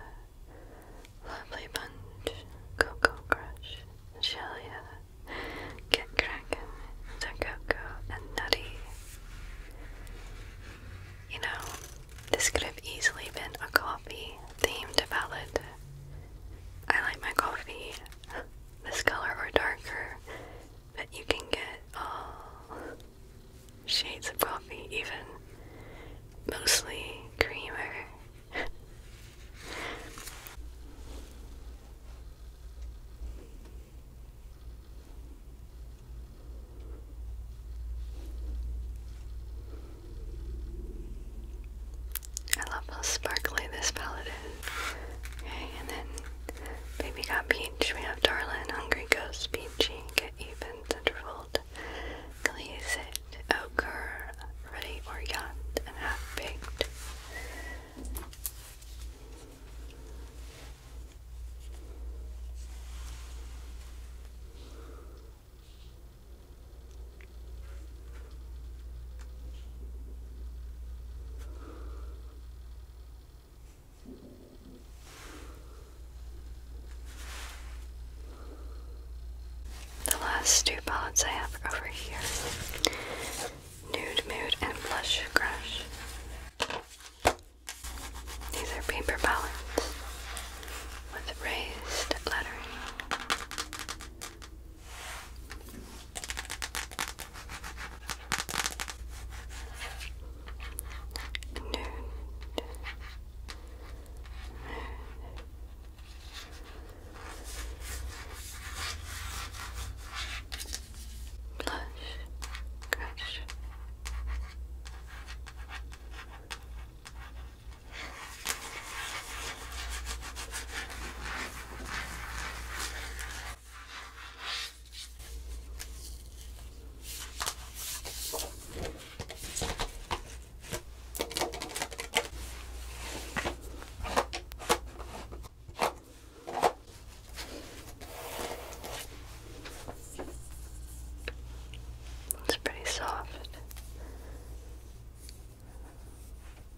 lovely bunch, cocoa crush, shelia, get kraken, the cocoa, and nutty. You know, this could have easily been a coffee themed ballad. I like my coffee this color or darker, but you can get all shades of coffee, even mostly creamer. I love how sparkly this palette is. Okay, and then Baby Got Peach, we have Darlin, Hungry Ghost, Peachy, Get Even, Centerfold, Glazed, Ochre, Ready or Yacht, and Half Baked. The last two palettes I have over here Nude Mood and Blush Crush. These are paper palettes with raised lettering blush, crush. Now it's pretty soft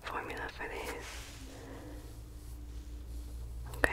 formula for these. Okay.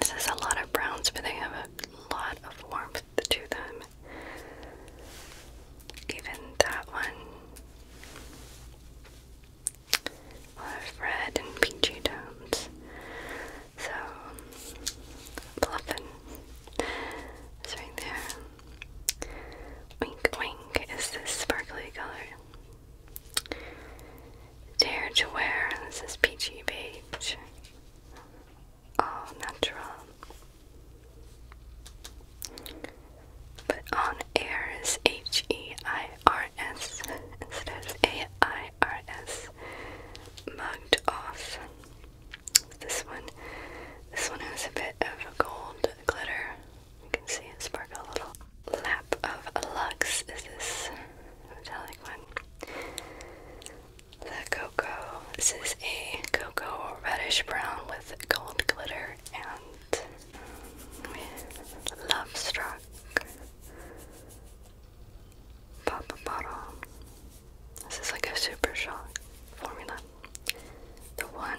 This is a lot of browns, but they have a lot of warmth to them. Even that one. A lot red and peachy tones. So, Bluffin is right there. Wink Wink is this sparkly color. Dare to wear, this is peachy beige. All natural. But on air H E I R S instead of A I R S. Mugged off. This one, this one has a bit of gold glitter you can see it sparkle a little. Lap of Lux is this metallic one. The cocoa. This is a cocoa reddish brown with gold glitter and um, love struck. Pop bottle. This is like a super shock formula. The one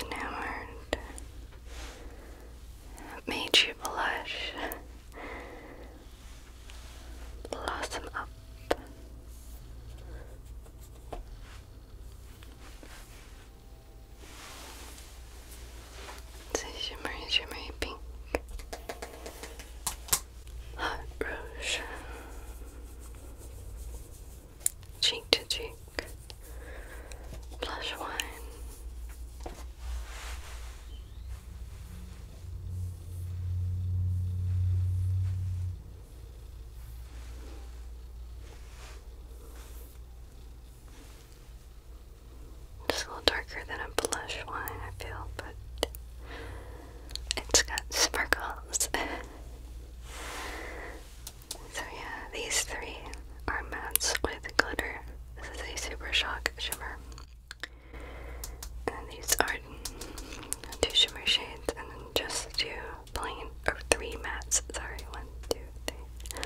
enamored, made you blush, blossom up. It's a shimmery, shimmery pink, hot rouge cheek to cheek, blush wine. It's a little darker than a blush wine, I feel, but it's got sparkles. So yeah, these three are mattes with glitter. This is a Super Shock Shimmer. And these are two shimmer shades and then just two plain, or three mattes, sorry, one, two, three.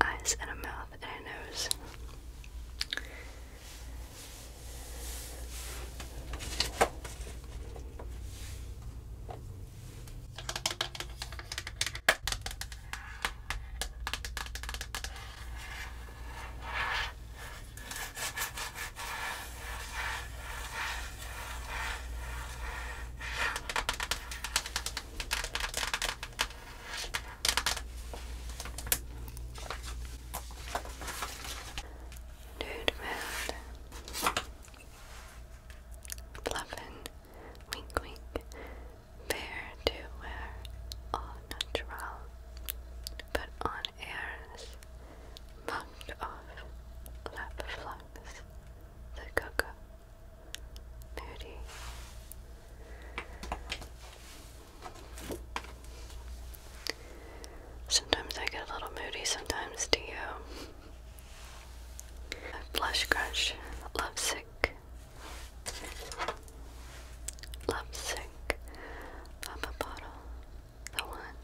Eyes and a mouth and a nose. Nude Mood Bluffin Wink wink. Fair to wear all natural, but on airs, bumped off, lap flux, the cocoa, moody. Sometimes I get a little moody, sometimes do you? Flush, crush, lovesick, Lovesick, Papa Bottle, the one,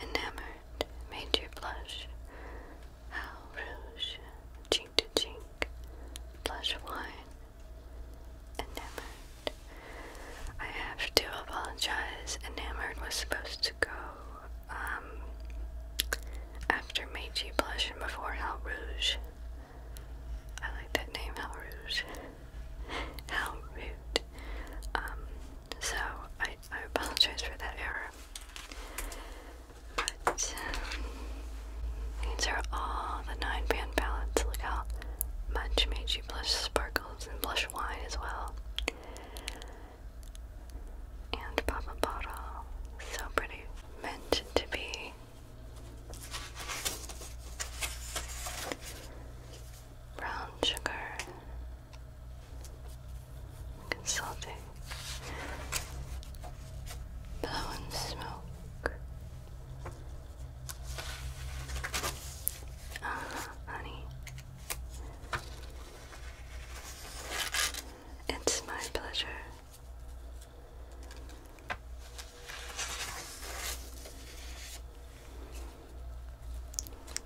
enamored, made you blush. How rouge, cheek to cheek, blush wine, enamored. I have to apologize. Enamored was supposed to go um, after Meiji Blush and before Hal Rouge. I like that name, Hal Rouge. Hal Root. Um, so I, I apologize for that error. But um, these are all the nine band palettes. Look how much Meiji Blush sparkles and blush wine as well. And Papa Bottle. So pretty meant to be. Brown sugar consulting blowing smoke ah, honey it's my pleasure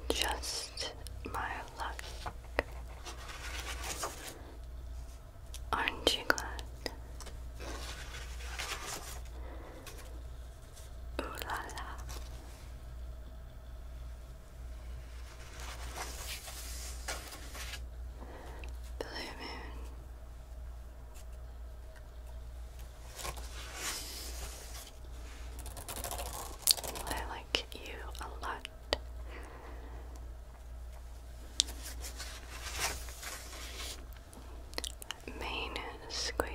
just my luck. Aren't you glad? Ooh la la. Blue Moon. I like you a lot. Main squeeze.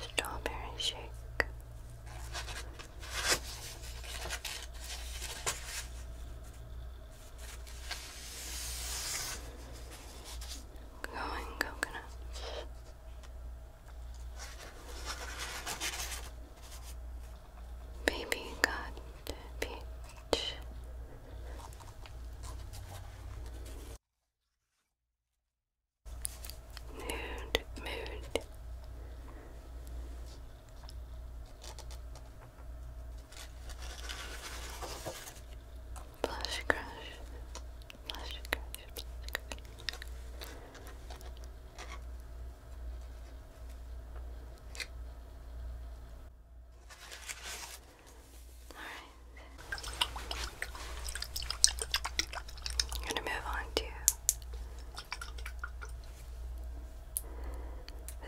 Strawberry shake. Going coconut. Baby got peach Mood, mood. Blush crush, blush crush, I'm going to move on to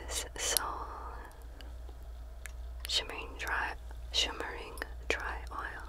this soul shimmering dry shimmering dry oil.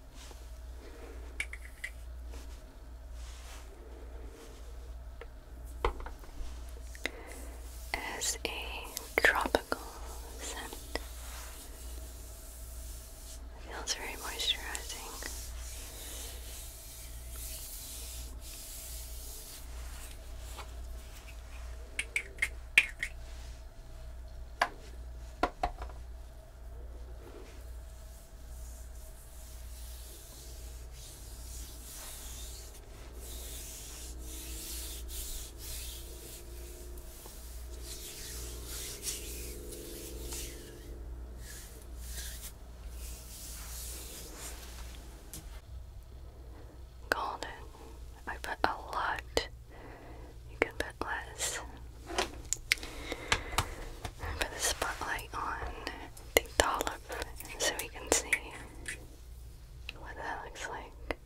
as a tropical scent. Feels very moisturizing. Golden. I put a lot. You can put less put the spotlight on the dollop so we can see what that looks like.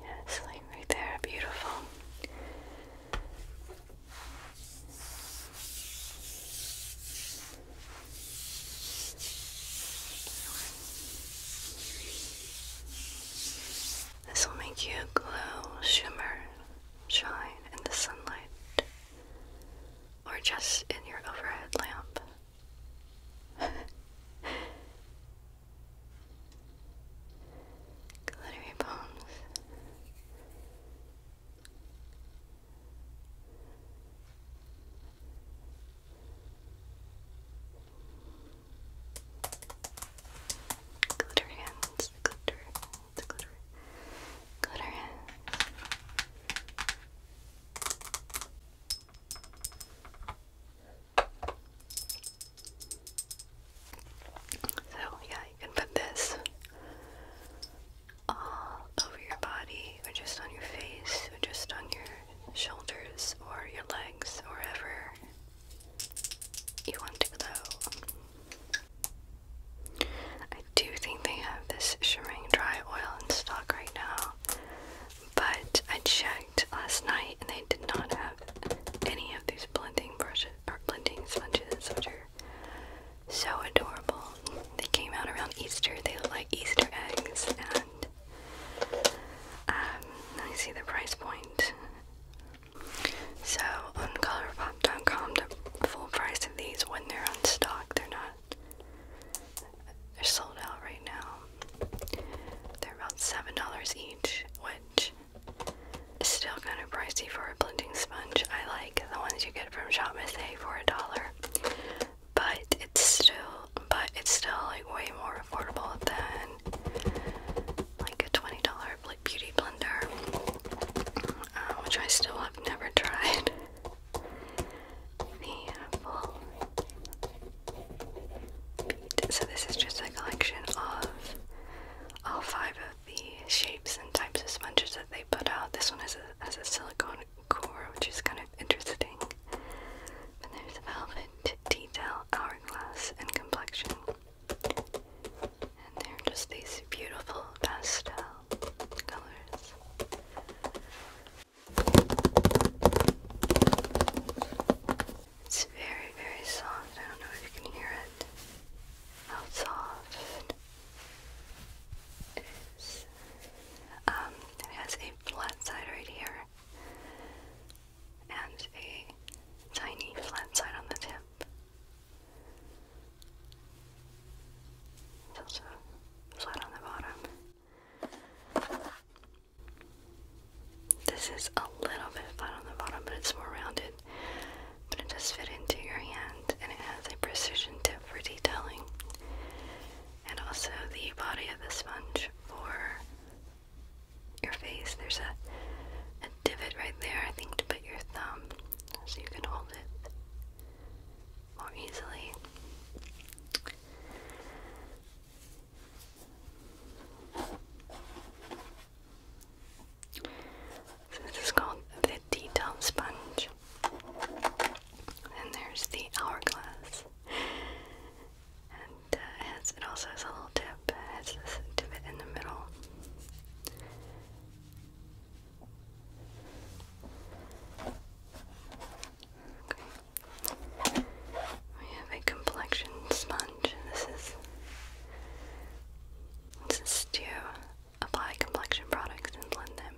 Yes, like right there, beautiful. This will make you glow, shimmer, shine in the sunlight, or just in your overhead lamp. glittery bombs. Glitter hands, glitter, glitter, glitter hands. So, yeah, you can put this all over your body, or just on your face, or just on your shoulders, or your legs, or wherever you want to glow. I do think they have this Shimring Dry Oil in stock right now, but I checked last night and they did not have any of these blending brushes or blending sponges, which are so adorable. They came out around Easter. They look like Easter eggs, and um, let me see the price point. So on ColorPop.com, the full price of these when they're on stock, they're not. They're sold out right now. They're about seven dollars each, which Still kind of pricey for a blending sponge. I like the ones you get from Shop Miss A for a dollar, but it's still, but it's still like way more affordable than like a twenty dollar beauty blender, uh, which I still have never tried. the So this is just a collection of all five of the shapes and types of sponges that they put out. This one has a, silicone core, which is kind of interesting. And there's velvet, detail, hourglass, and complexion. And they're just these beautiful pastel colors. It's very, very soft. I don't know if you can hear it how soft um, it has a flat side right here and a tiny flat side on the tip. It's also flat on the bottom. This is a little bit flat on the bottom, but it's more rounded it, but it fit into your hand and it has a precision tip for detailing. And also the body of the sponge for your face. There's a divot right there, I think, to put your thumb so you can hold it more easily. So this is called the detail sponge. And there's the hourglass. And uh, it, also has a little tip. It this divot in the middle. Okay. We have a complexion sponge. This is this to apply complexion products and blend them.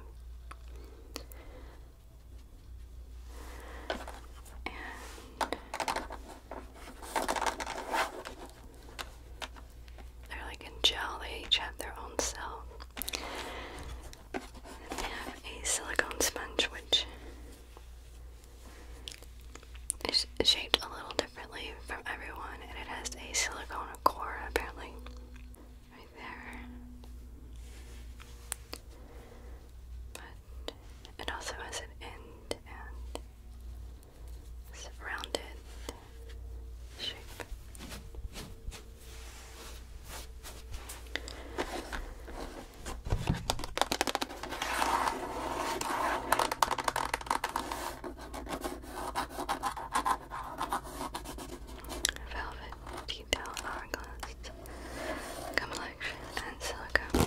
they're like in gel, they each have their own cell. And have a silicone sponge which shaped a little differently from everyone, and it has a silicone core apparently. Right there. But it also has an end and it's a rounded shape. Velvet detail hourglass complexion and silicone.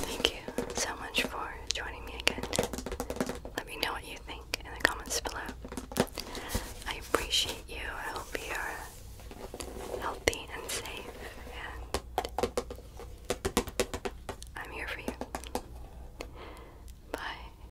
Thank you so much for joining me again. Let me know what you think in the comments below. I appreciate you. I hope you're healthy and safe, and I'm here for you. Bye.